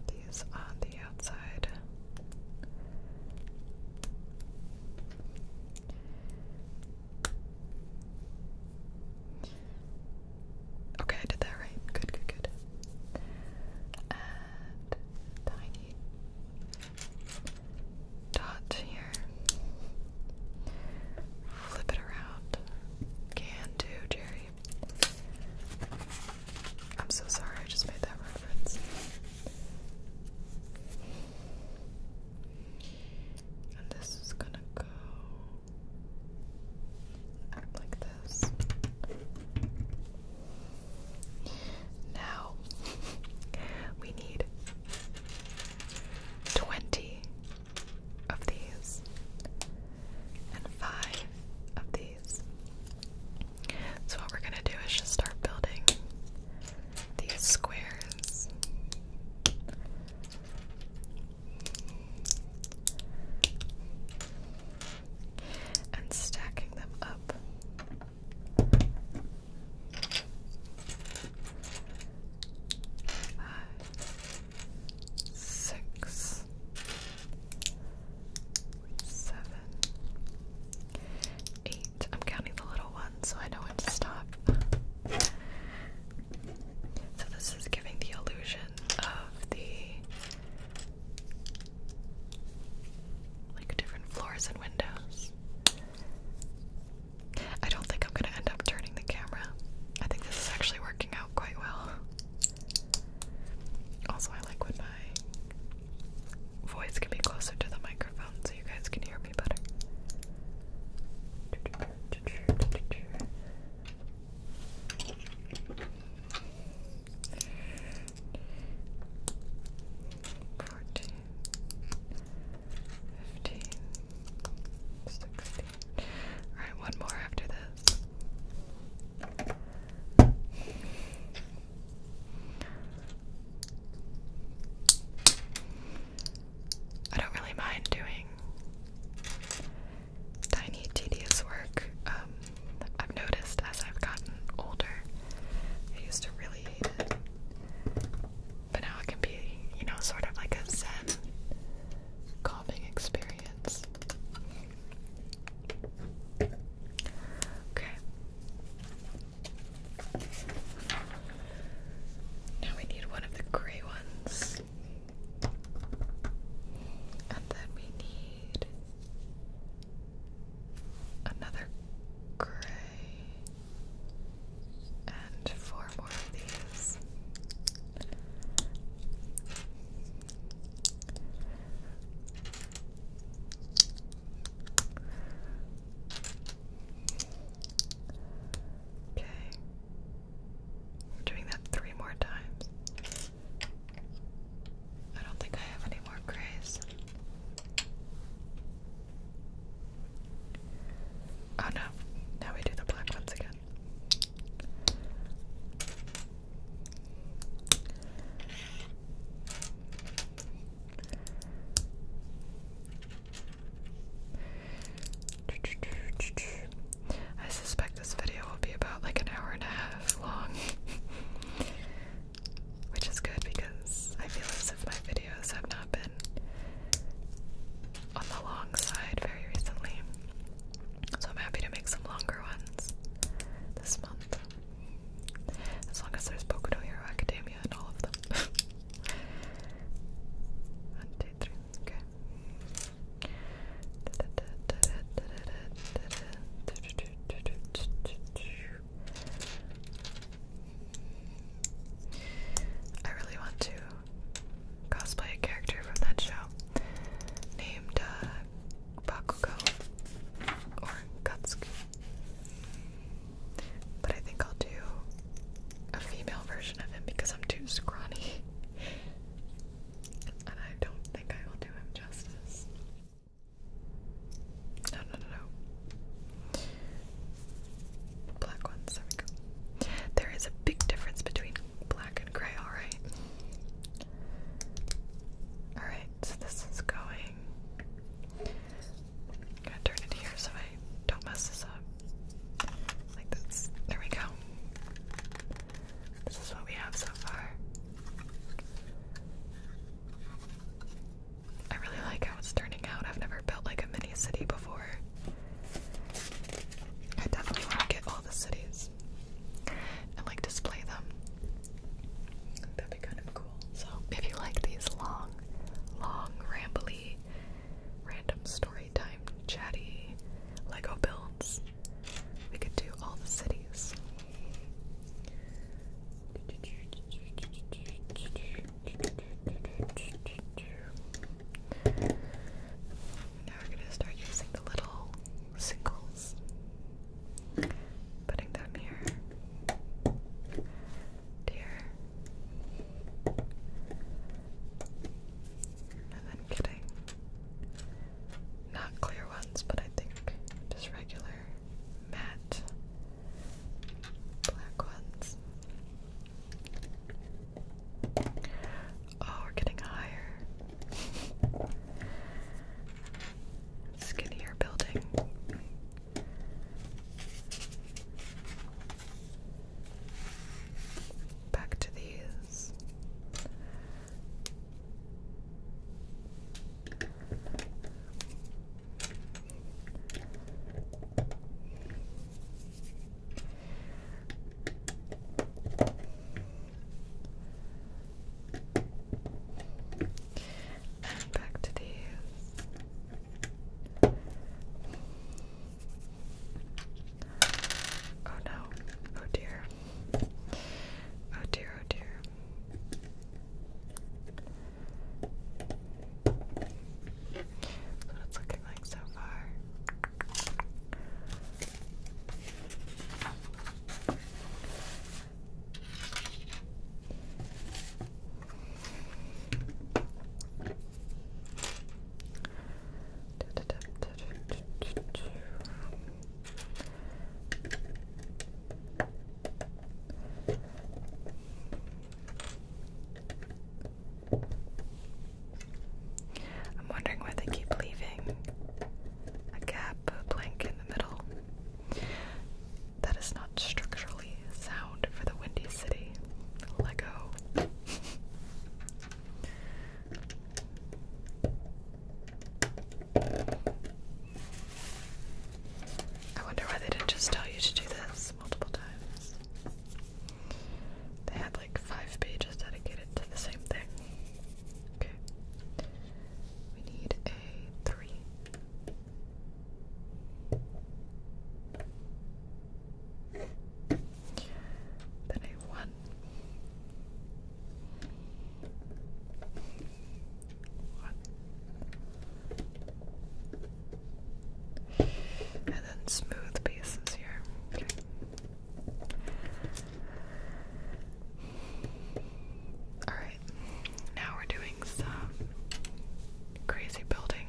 these on the outside. Okay, I did that right. Good, good, good. And tiny dot here. Flip it around. Can do, Jerry. I'm so sorry, I just made that reference. And this is gonna go like this. Now we need 20 of these and 5 of these. So, what we're going to do is just start building these squares. And stacking them up five, six, seven, eight. I'm counting the little ones so I know when to stop. So this is giving the illusion of the like different floors and windows. I don't think I'm gonna end up turning the camera. I think this is actually working out quite well. Also, I like when my voice can be closer to the microphone so you guys can hear me better. Fourteen, fifteen, 16. one more after this. I don't really mind doing tiny, tedious work. Um, I've noticed as I've gotten older, I used to really hate it. But now it can be, you know, sort of like a zen calming experience. Okay. Now we need one of the gray ones. And then we need another gray and four more of these. Okay. I'm doing that three more times. I don't think I have any more grays. Oh no, now we do the black ones again. I suspect this video will be about like an hour and a half long, which is good because I feel as if my videos have not been on the long side very recently. So I'm happy to make some longer ones this month. As long as there's Boku Hero Academia in all of them. One, two, three, okay. I really want to cosplay a character from that show named uh, Bakugo or Katsuki. But I think I'll do a female version of him because I'm too scrawny. and I don't think I will do him justice. No, no, no, no. Black ones, there we go. There is a big difference between black and gray, alright? Alright, so this is going. gonna turn it here so I don't mess this up. Like this. There we go. This is what we have so far. I really like how it's turning out. I've never built like a mini city before. I definitely want to get all the cities and like display them. That'd be kind of cool. So if you like these long, long, rambly, random story time, chatty Lego builds, we could do all the cities. Now we're gonna start using the little singles. Putting them here. Here. And then getting not clear ones, but I think just regular matte black ones. Oh, we're getting higher. Skinnier building. Back to these. And back to these. Oh no. Oh dear. Oh dear, oh dear. That's what feeling so far? I'm wondering why they keep leaving a gap, a blank in the middle. That is not structurally sound for the Windy City. Lego. I wonder why they didn't just tell you to do this multiple times. They had like five pages dedicated to the same thing. Okay. We need a three. Then a one. One. And then smooth pieces here. Alright, now we're doing some crazy building.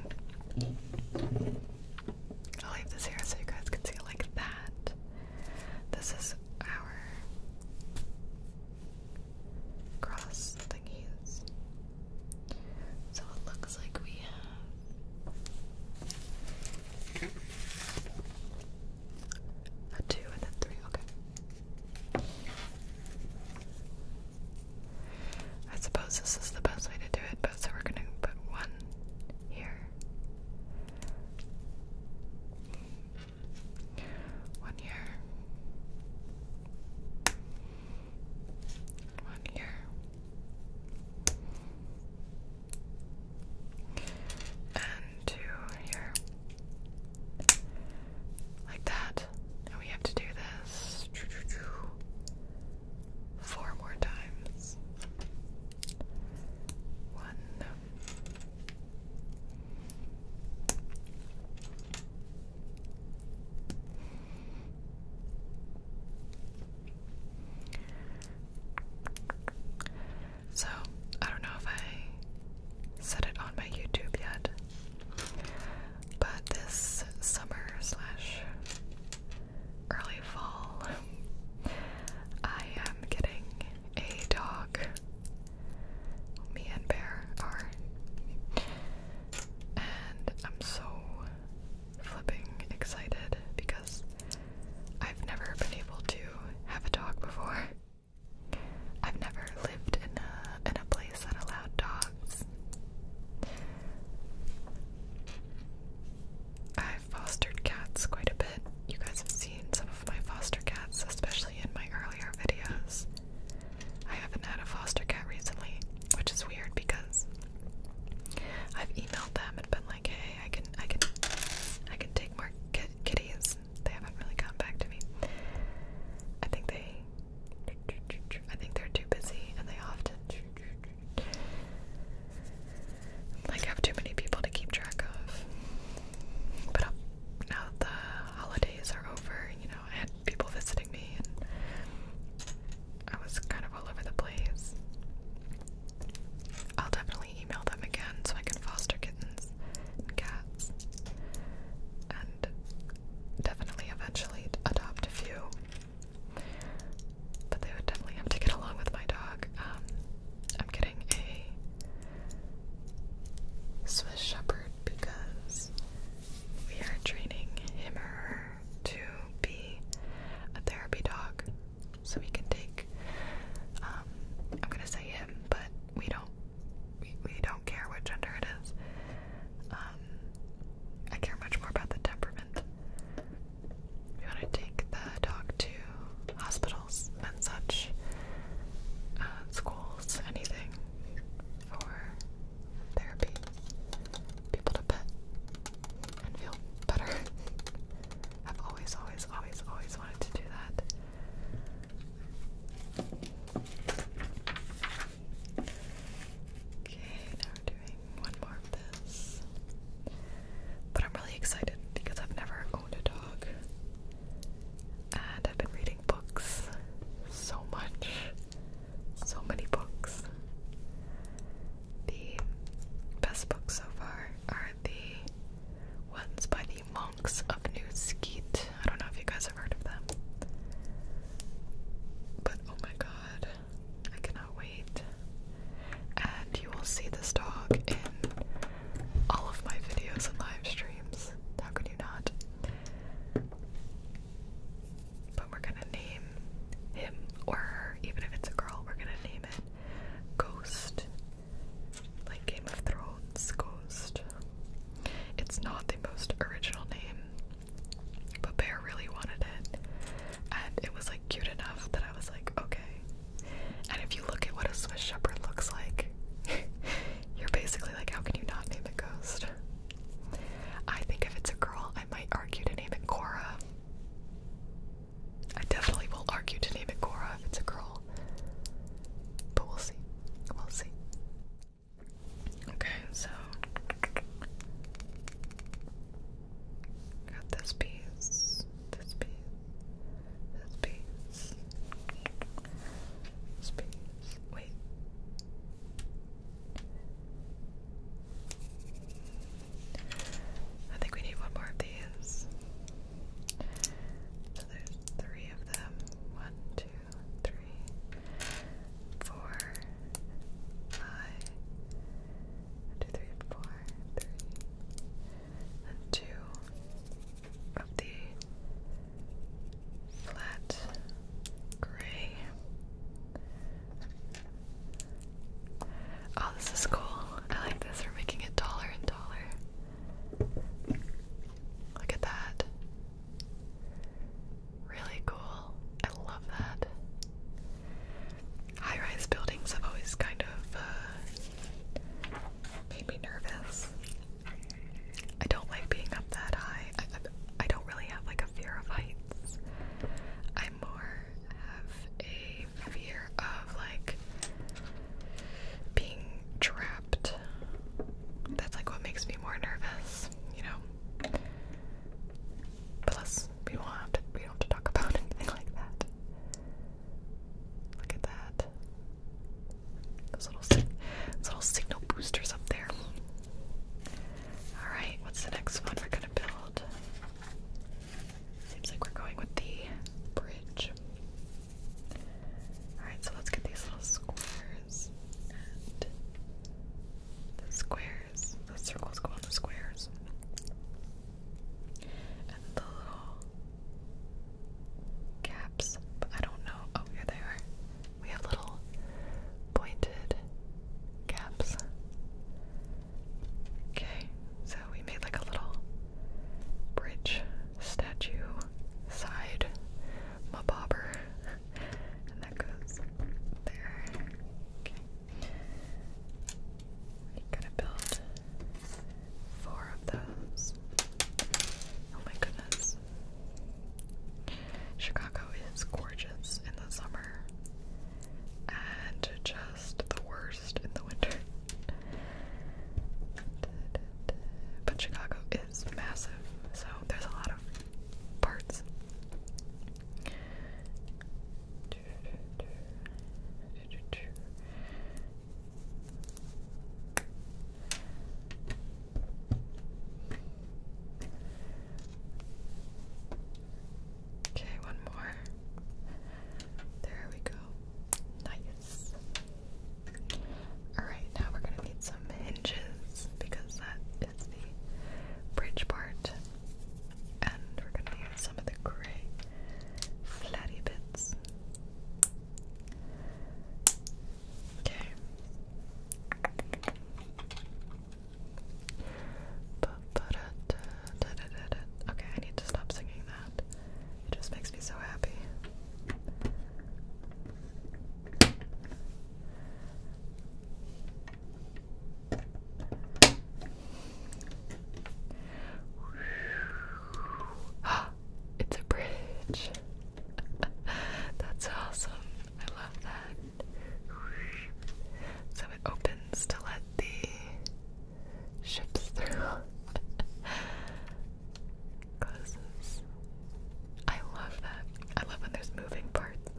I'll leave this here so you guys can see it like that. This is our cross thingies. So it looks like we have a two and then three, okay. I suppose this is the best way to do it, so we're gonna put one here. One here. One here and two here, like that. And we have to do this four more times. One. So, I don't know if I said it on my YouTube yet, but this summer slash early fall, I am getting a dog. Me and Bear are. And I'm so flipping excited because. I've never been able to have a dog before. I've never lived in a in a place that allowed dogs. I've fostered cats quite a bit. You guys have seen some of my foster cats, especially in my earlier videos. I haven't had a foster cat recently, which is weird because I've emailed them and been like like, I can, I can, I can take more kitties. They haven't really gotten back to me. I think they, I think they're too busy, and they often like have too many people to keep track of. But um, now that the holidays are over, you know, I had people visiting me, I was kind of all over the place. I'll definitely email them again so I can foster kittens and cats. And definitely eventually adopt a few. But they would definitely have to get along with my dog. Um, I'm getting a Swiss Shepherd because we are training him or her to be a therapy dog so we can take. Um, I'm gonna say him, but we don't. We, don't care what gender it is. Um, I care much more about the temperament. We want to take the dog to hospitals and such, uh, schools, anything for therapy, people to pet, and feel better. I've always, always, always, always wanted to do that. Okay, now we're doing one more of this. But I'm really excited because I've never owned a dog. And I've been reading books so much. So many books. The best books so far are the ones by the monks of New Skeet. I don't know if you guys have heard of them. But oh my god, I cannot wait. And you will see this dog in all of my videos and live streams. How could you not? But we're gonna name him or even if it's a girl, we're gonna name it Ghost. Like Game of Thrones, Ghost. It's not the most original name, but Bear really wanted it. And it was like cute enough that I was like, okay. And if you look at what a Swiss Shepherd looks like, you're basically like, how can you not name it Ghost? I think if it's a girl, I might argue to name it Cora. I definitely will argue to name it Cora if it's a girl. But we'll see. We'll see. Okay, so got this piece, this piece, this piece, this Wait. I think we need one more of these. So there's three of them. One, two, three, four, five. And two of the flat gray. Oh, this is cool. I like this. We're making it taller and taller. Look at that. Really cool. I love that. High rise buildings have always kind of uh, made me nervous. I don't like being up that high. I don't really have like a fear of heights. I more have a my fear of like being trapped. That's like what makes me more nervous, you know. Plus, we don't have to we don't have to talk about anything like that. Look at that. those little signal boosters up there. All right, what's the next one we're gonna build? Seems like we're going with the bridge. Alright, so let's get these little squares. the squares, the circles go on the squares. And the little caps, I don't know. Oh, here they We have little pointed caps. Okay, so we made like a little bridge statue side mabobber. And that goes there. Okay. We're gonna build four of those. Oh my goodness. Chicago is gorgeous in the summer and just the worst in the winter. But Chicago is massive, so there's a lot of parts. Okay, one more. There we go. Nice. Alright, now we're gonna need some hinges because that is the bridge part. And we're gonna use some of the gray flatty bits. Okay. Okay, I need to stop singing that. It just makes me so happy. it's a bridge. That's awesome. I love that. So it opens to let the ships through. Closes. I love that. I love when there's moving parts.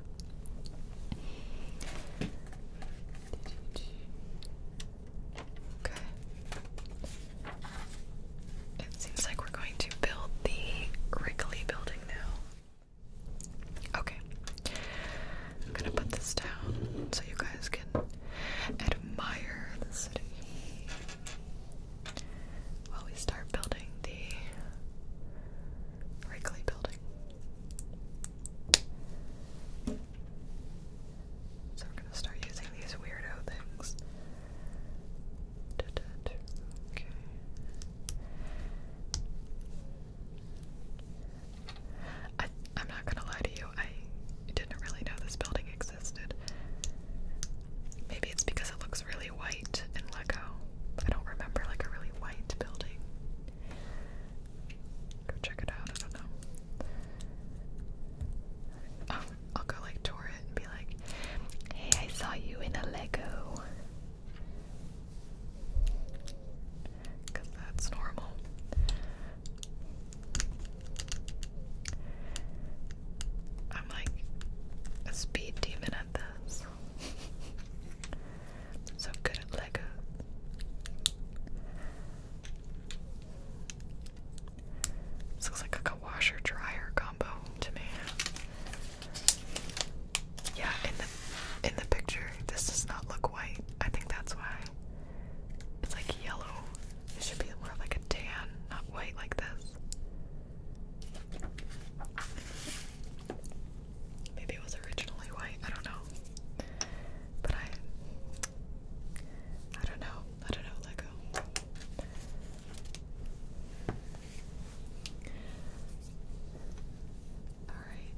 Okay. It seems like we're going to build the Wrigley building now. Okay. I'm gonna put this down so you guys can admire the city while we start building the Wrigley building. So we're gonna start using these weirdo things. I, am not gonna lie to you, I didn't really know this building existed. Maybe it's because it looks really white and Lego. I don't remember like a really white building. Go check it out, I don't know. Oh, I'll go like tour it and be like, hey, I saw you in a Lego. Because that's normal. I'm like a speed demon at this. so good at Legos. looks like a washer dryer combo to me. Yeah, in the in the picture, this does not look white. I think that's why. It's like yellow. It should be more like a tan, not white like this. Maybe it was originally white, I don't know. But I I don't know. I don't know, let Alright.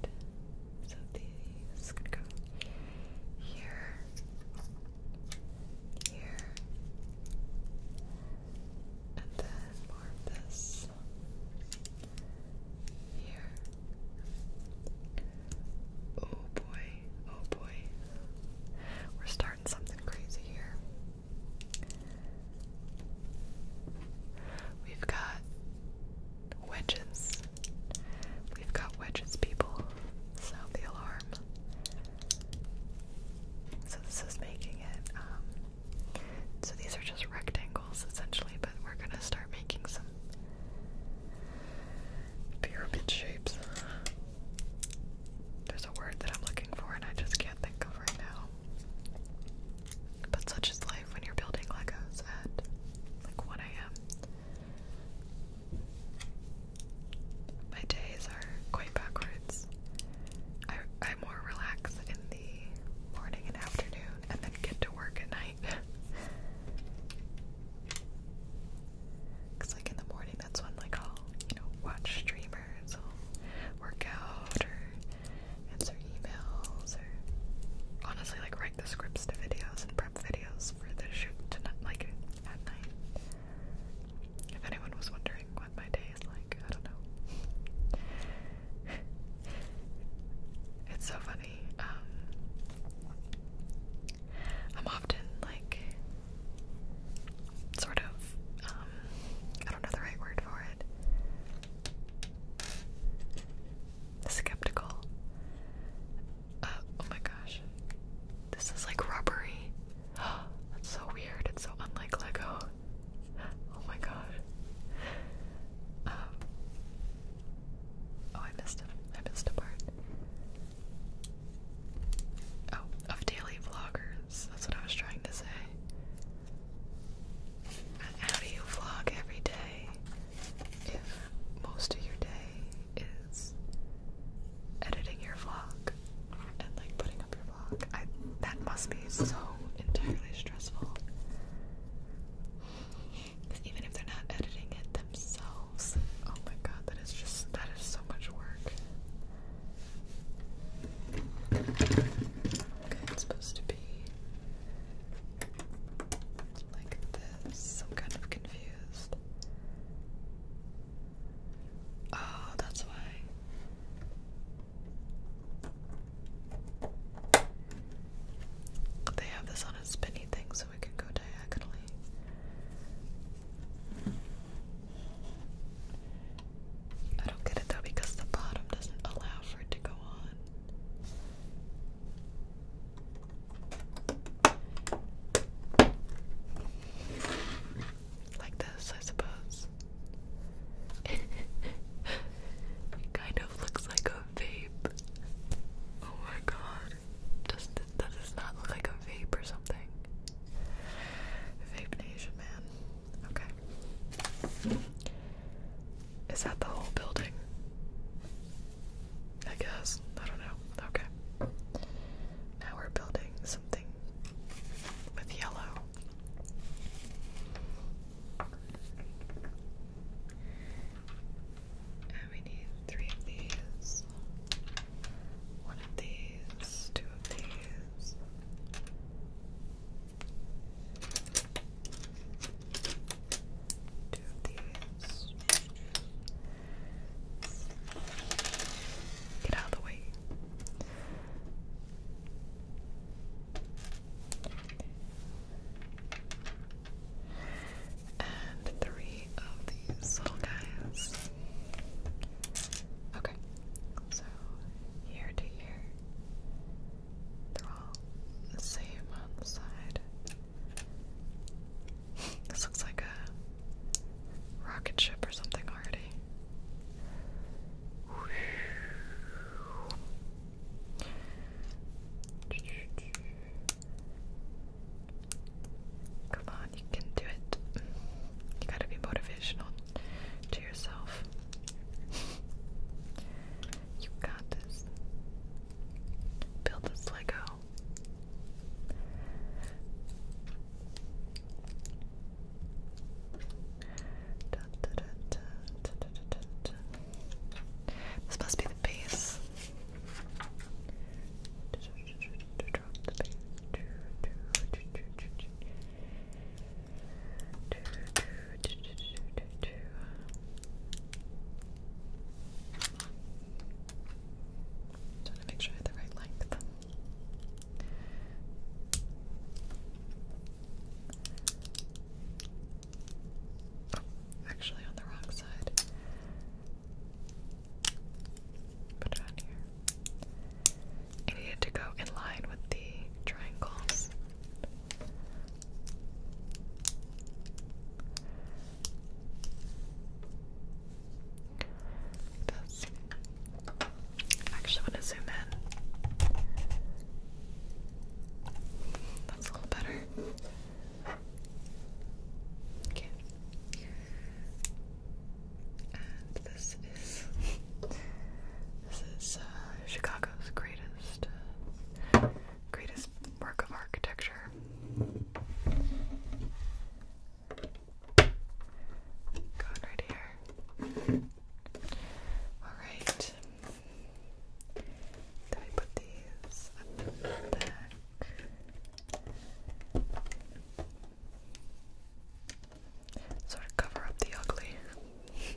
So these could go here, here, and then more of this here. Oh boy, oh boy. We're starting something crazy here. We've got wedges We've got wedges, people. Sound the alarm. So this is making it. Um, so these are just rectangles essentially, but we're gonna start making some pyramid shapes. There's a word that I'm looking for, and I just can't think of right now. But such is life when you're building Legos at like 1 a.m. My days are quite backwards. I, I more relax in the morning and afternoon and then get to work at night. Cause like in the morning that's when like I'll, you know, watch streamers, I'll work out or answer emails or honestly like write the scripts to videos and videos for the shoot tonight, like at night. If anyone was wondering what my day is like, I don't know. it's so funny. Um, I'm often like sort of um, I don't know the right word for it. Skeptical uh, oh my gosh. This is like rubbery. That's so weird. It's so unlike Lego. Oh my god. Um, oh, I missed him. missed a part. Oh, of daily vloggers. That's what I was trying to say. How do you vlog every day if most of your day is editing your vlog and like putting up your vlog. that must be so entirely stressful. even if they're not editing it themselves, oh my god, that is just that is so much work. Okay, it's supposed to be like this. I'm kind of confused. Oh, that's why. They have this on a spinny thing so it can go diagonally. I don't get it though because the bottom doesn't allow for it to go on. Like this, I suppose. it kind of looks like a vape. Oh my god. Does, does this not look like a vape or something? Vape Nation, man. Okay. Is that the whole building? I guess. I don't know. Okay. Now we're building something with yellow. And we need three of these, one of these, two of these. Two of these. Get out of the way. And three of these little guys. Okay, so here to here. They're all the same on the side. This looks like a rocket ship or something already. Come on, you can do it. You gotta be motivational to yourself. You got this. Build this Lego. This must be the base. Trying to make sure the right length. Oh, actually, on the wrong side. Put it on here. I needed to go in line with the triangles. I actually want to zoom in. That's a little better. Okay. And this is this is uh, Chicago's greatest uh, greatest work of architecture. Going right here. Alright. Then we put these back. Sort of cover up the ugly.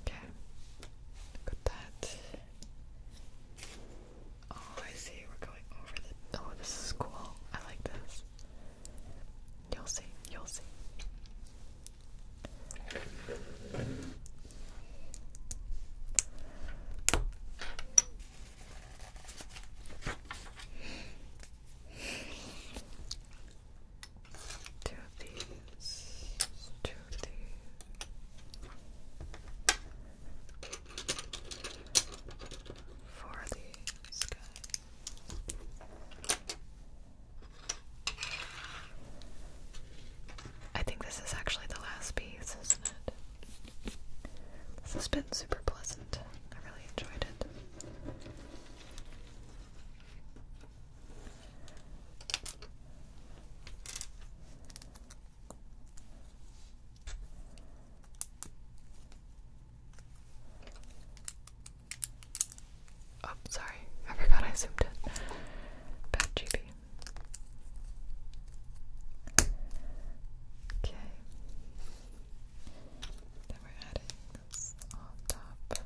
okay. Got that. Oh, I see. We're going over the. Oh, this is cool. I like this. You'll see. You'll see. Two these. Two these for the sky. I think this is actually the last piece, isn't it? This has been super pleasant. I really enjoyed it. Oh, sorry, I forgot I zoomed in. Bad GB. Okay. Then we're adding this on top.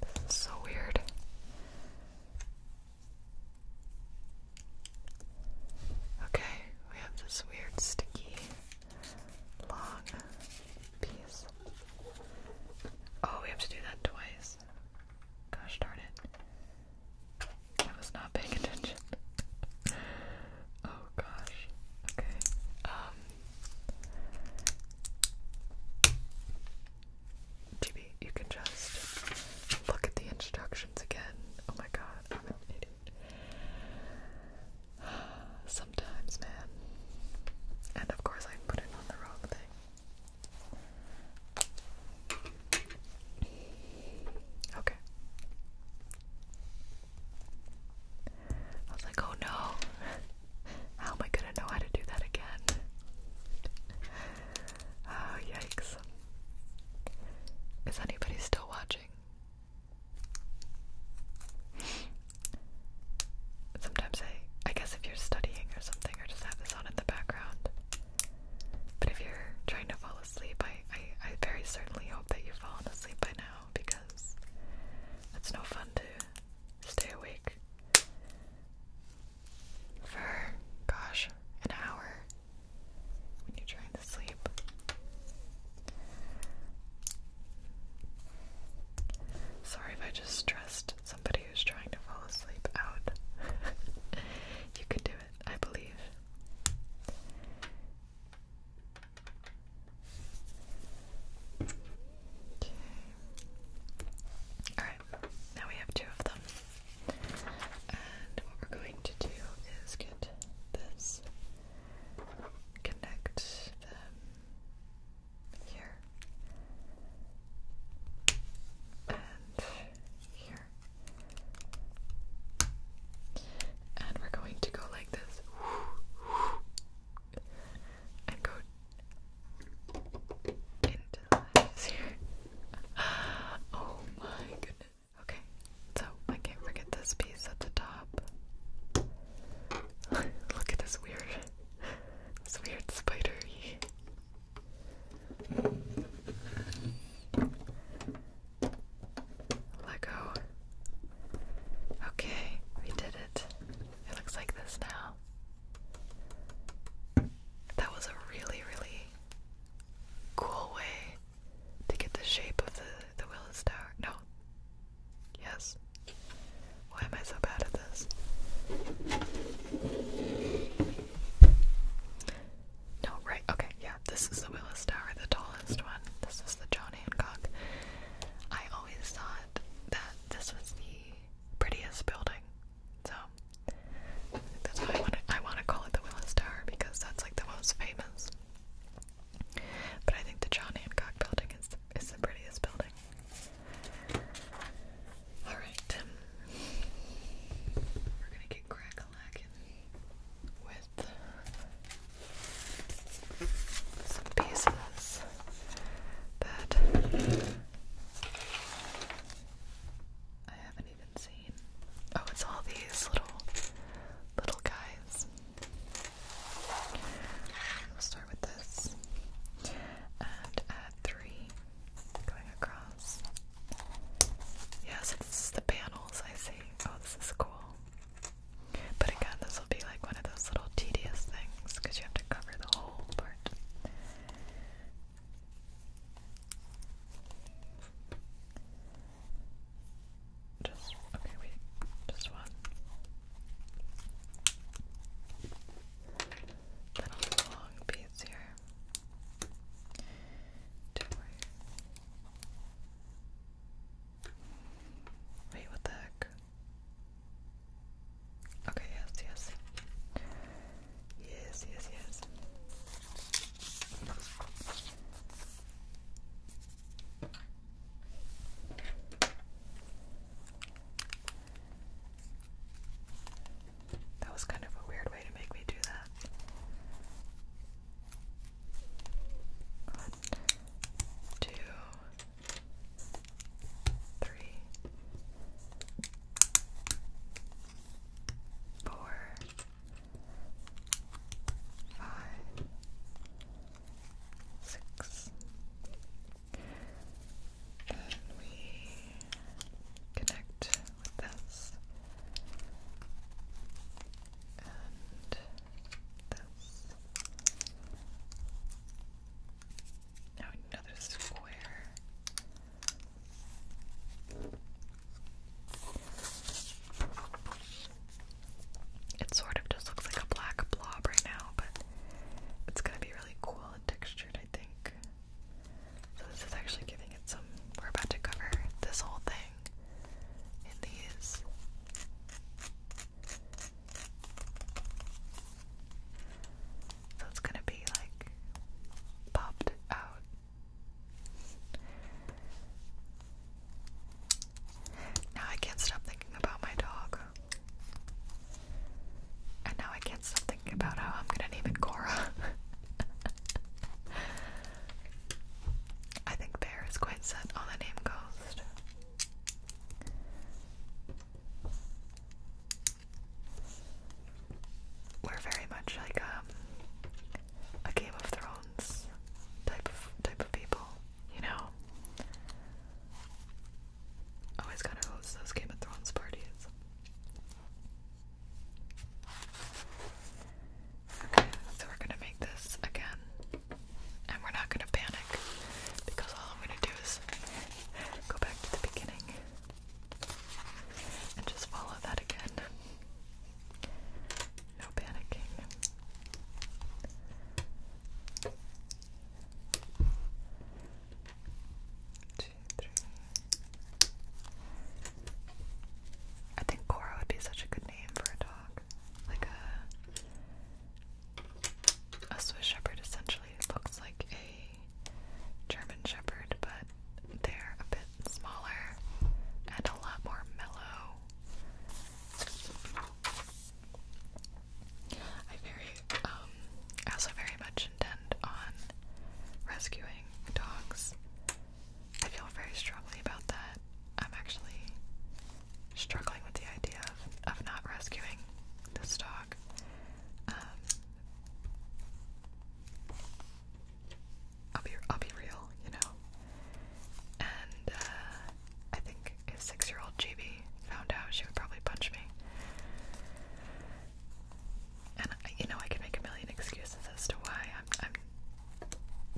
This is so weird. Okay, we have this weird sticky long piece. Oh, we have to do that twice. Gosh darn it. I was not paying attention. Oh gosh. Okay. Um GB, you can just look at the instructions again. Oh my god, Sometimes, man. And of course I put it on the wrong thing. Okay. I was like, oh no, how am I gonna know how to do that again? Oh, yikes. Is anybody still watching? Sometimes I, I guess if you're studying or something, or just have this on in the background. But if you're trying to fall asleep, I, I, I very certainly hope that you've fallen asleep by now because it's no fun to stay awake for, gosh, an hour when you're trying to sleep. Sorry if I just stressed somebody who's trying to fall asleep out. you can do it, I believe. Okay. Alright, now we have two of them. And what we're going to do is get this, connect them here, and here. And we're going to go like this and go into the lens here. Oh my goodness. Okay, so I can't forget this piece at the top. Look at this weird, this weird spidery. Lego Okay, we did it. It looks like this now. That was a really, really cool way to get the shape of the, the Willis Tower. No. Yes. Why am I so bad at this? No, right, okay, yeah, this is the Willis Tower, the tallest one. This is the Johnny. Hancock, I always thought that this was the prettiest building. So that's why I want to call it the Willis Tower because that's like the most famous. But I think the John Hancock building is the, is the prettiest building. All right, we're gonna get crack with some pieces that I haven't even seen. Oh, it's all these little little guys. We'll start with this and add three going across. Yeah, this is the panels I see. Oh, this is cool. But again, this will be like one of those little tedious things because you have to cover the whole part. Just okay, wait, just one. Then long piece here. Don't worry. Wait, what the heck? Okay, yes, yes. Yes, yes, yes. That was kind of a weird way to make me do that. One, two, three, four, five, six. Then we connect with this and this. Now another square. It sort of just looks like a black blob right now, but it's gonna be really cool and textured, I think. So this is actually giving it some. We're about to cover this whole thing in these. So it's gonna be like popped out. Now I can't stop thinking about my dog. And now I can't stop thinking about how I'm gonna name it Cora. I think Bear is quite set on the name Ghost. We're very much like um, a Game of Thrones type of type of people, you know. Always gotta host those Game of Thrones parties. Okay, so we're gonna make this again and we're not gonna panic because all I'm gonna do is go back to the beginning and just follow that again. No panicking. Two, three. I think Cora would be such a good name for a dog. Like a a Swiss Shepherd essentially looks like a German Shepherd, but they're a bit smaller and a lot more mellow. I very, um, I also very much intend on rescuing dogs. I feel very strongly about that. I'm actually struggling with the idea of, of not rescuing this dog. Um, I'll be I'll be real, you know. And uh, I think his six-year-old GB found out she would probably punch me. And you know I can make a million excuses as to why I'm I'm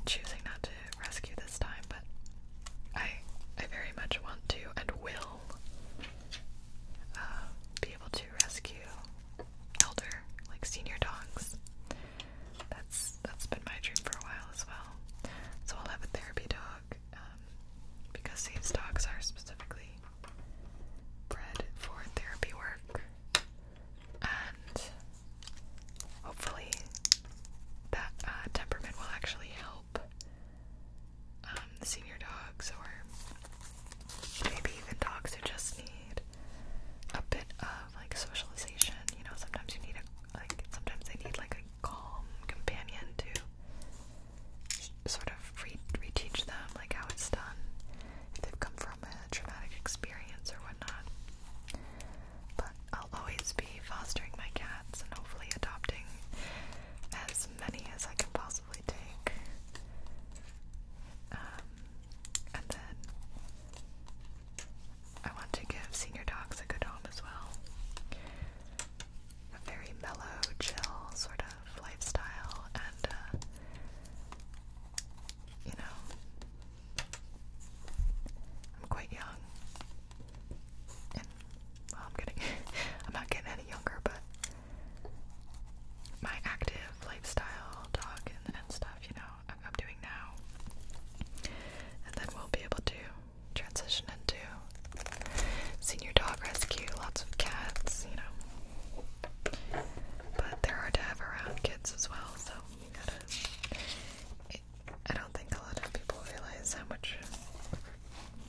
choosing not to rescue this time, but I I very much want to and will uh, be able to rescue elder, like senior dogs. That's that's been my dream for a while as well. So I'll have a therapy dog um, because Save's dogs are specifically bred for therapy work, and hopefully that uh, temperament will actually help help um, the senior dogs or maybe even dogs who just need a bit of like socialization. You know, sometimes you need a like sometimes they need like a calm companion to sort of re reteach them like how it's done if they've come from a traumatic experience or whatnot. But I'll always be fostering my cats and hopefully adopting as many as I can possibly take. Um, and then I want to give senior dogs a good home as well. A very mellow, chill sort of lifestyle, and uh, you know, I'm quite young, well, I'm getting, I'm not getting any younger, but my active lifestyle talk and, stuff, you know, I'm, doing now, and then we'll be able to transition into senior dog rescue, lots of cats, you know, but they're hard to have around kids as well, so you gotta. I don't think a lot of people realize how much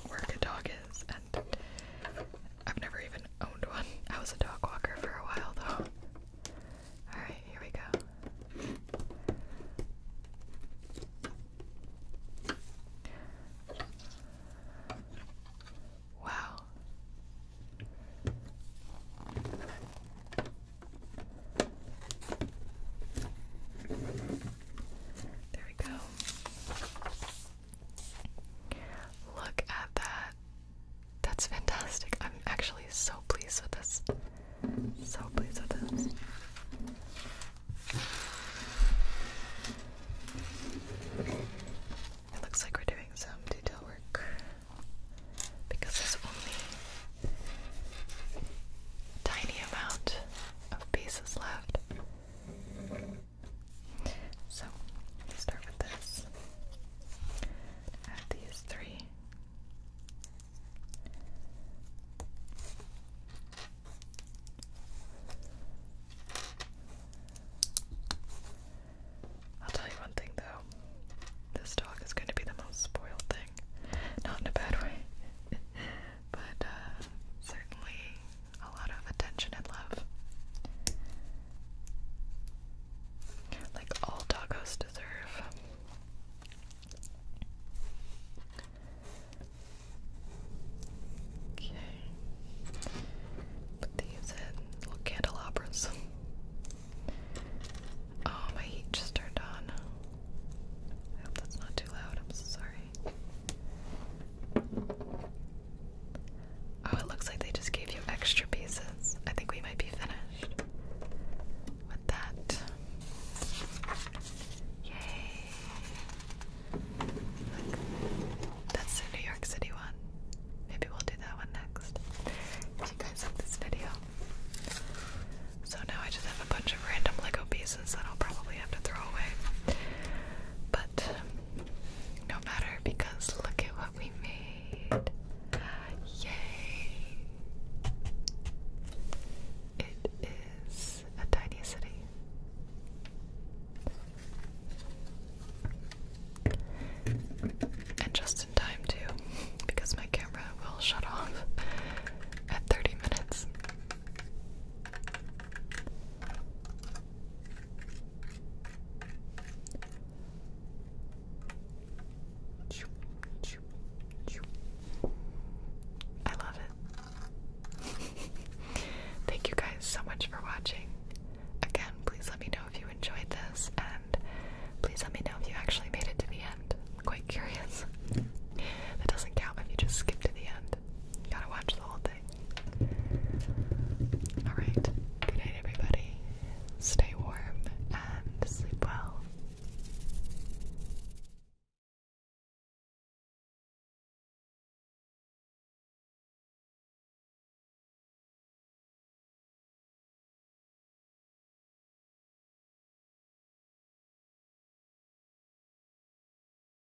where a dog is, and I've never even owned one. I was a dog walker for a while, though. Alright, here we go. Wow. There we go. Look at that. That's fantastic. I'm actually so pleased with this. So pleased with this. It looks like we're doing some detail work because there's only a tiny amount of pieces left. So, start with this. Add these three. I'll tell you one thing though. This dog is going to be the most spoiled thing. Not in a bad way, but uh, certainly a lot of attention and love. Like all doggos deserve. Okay. Put these in little candelabras. Oh, my heat just turned on. I hope that's not too loud. I'm sorry. Oh, it looks like they just gave you extra pieces. I think we might be finished with that. Yay! that's the New York City one. Maybe we'll do that one next. If you guys like this video. So now I just have a bunch of random Lego pieces that I'll probably have to throw away. But no matter because look at what we made. Yay! It is a tiny city. And just in time, too, because my camera will shut off at 30 minutes. I love it. Thank you guys so much for watching. Again, please let me know if you enjoyed this, and please let me know if you actually made it to the end. I'm quite curious. That doesn't count if you just skip to the end. Gotta watch the whole thing. Alright, good night, everybody. Stay warm and sleep well.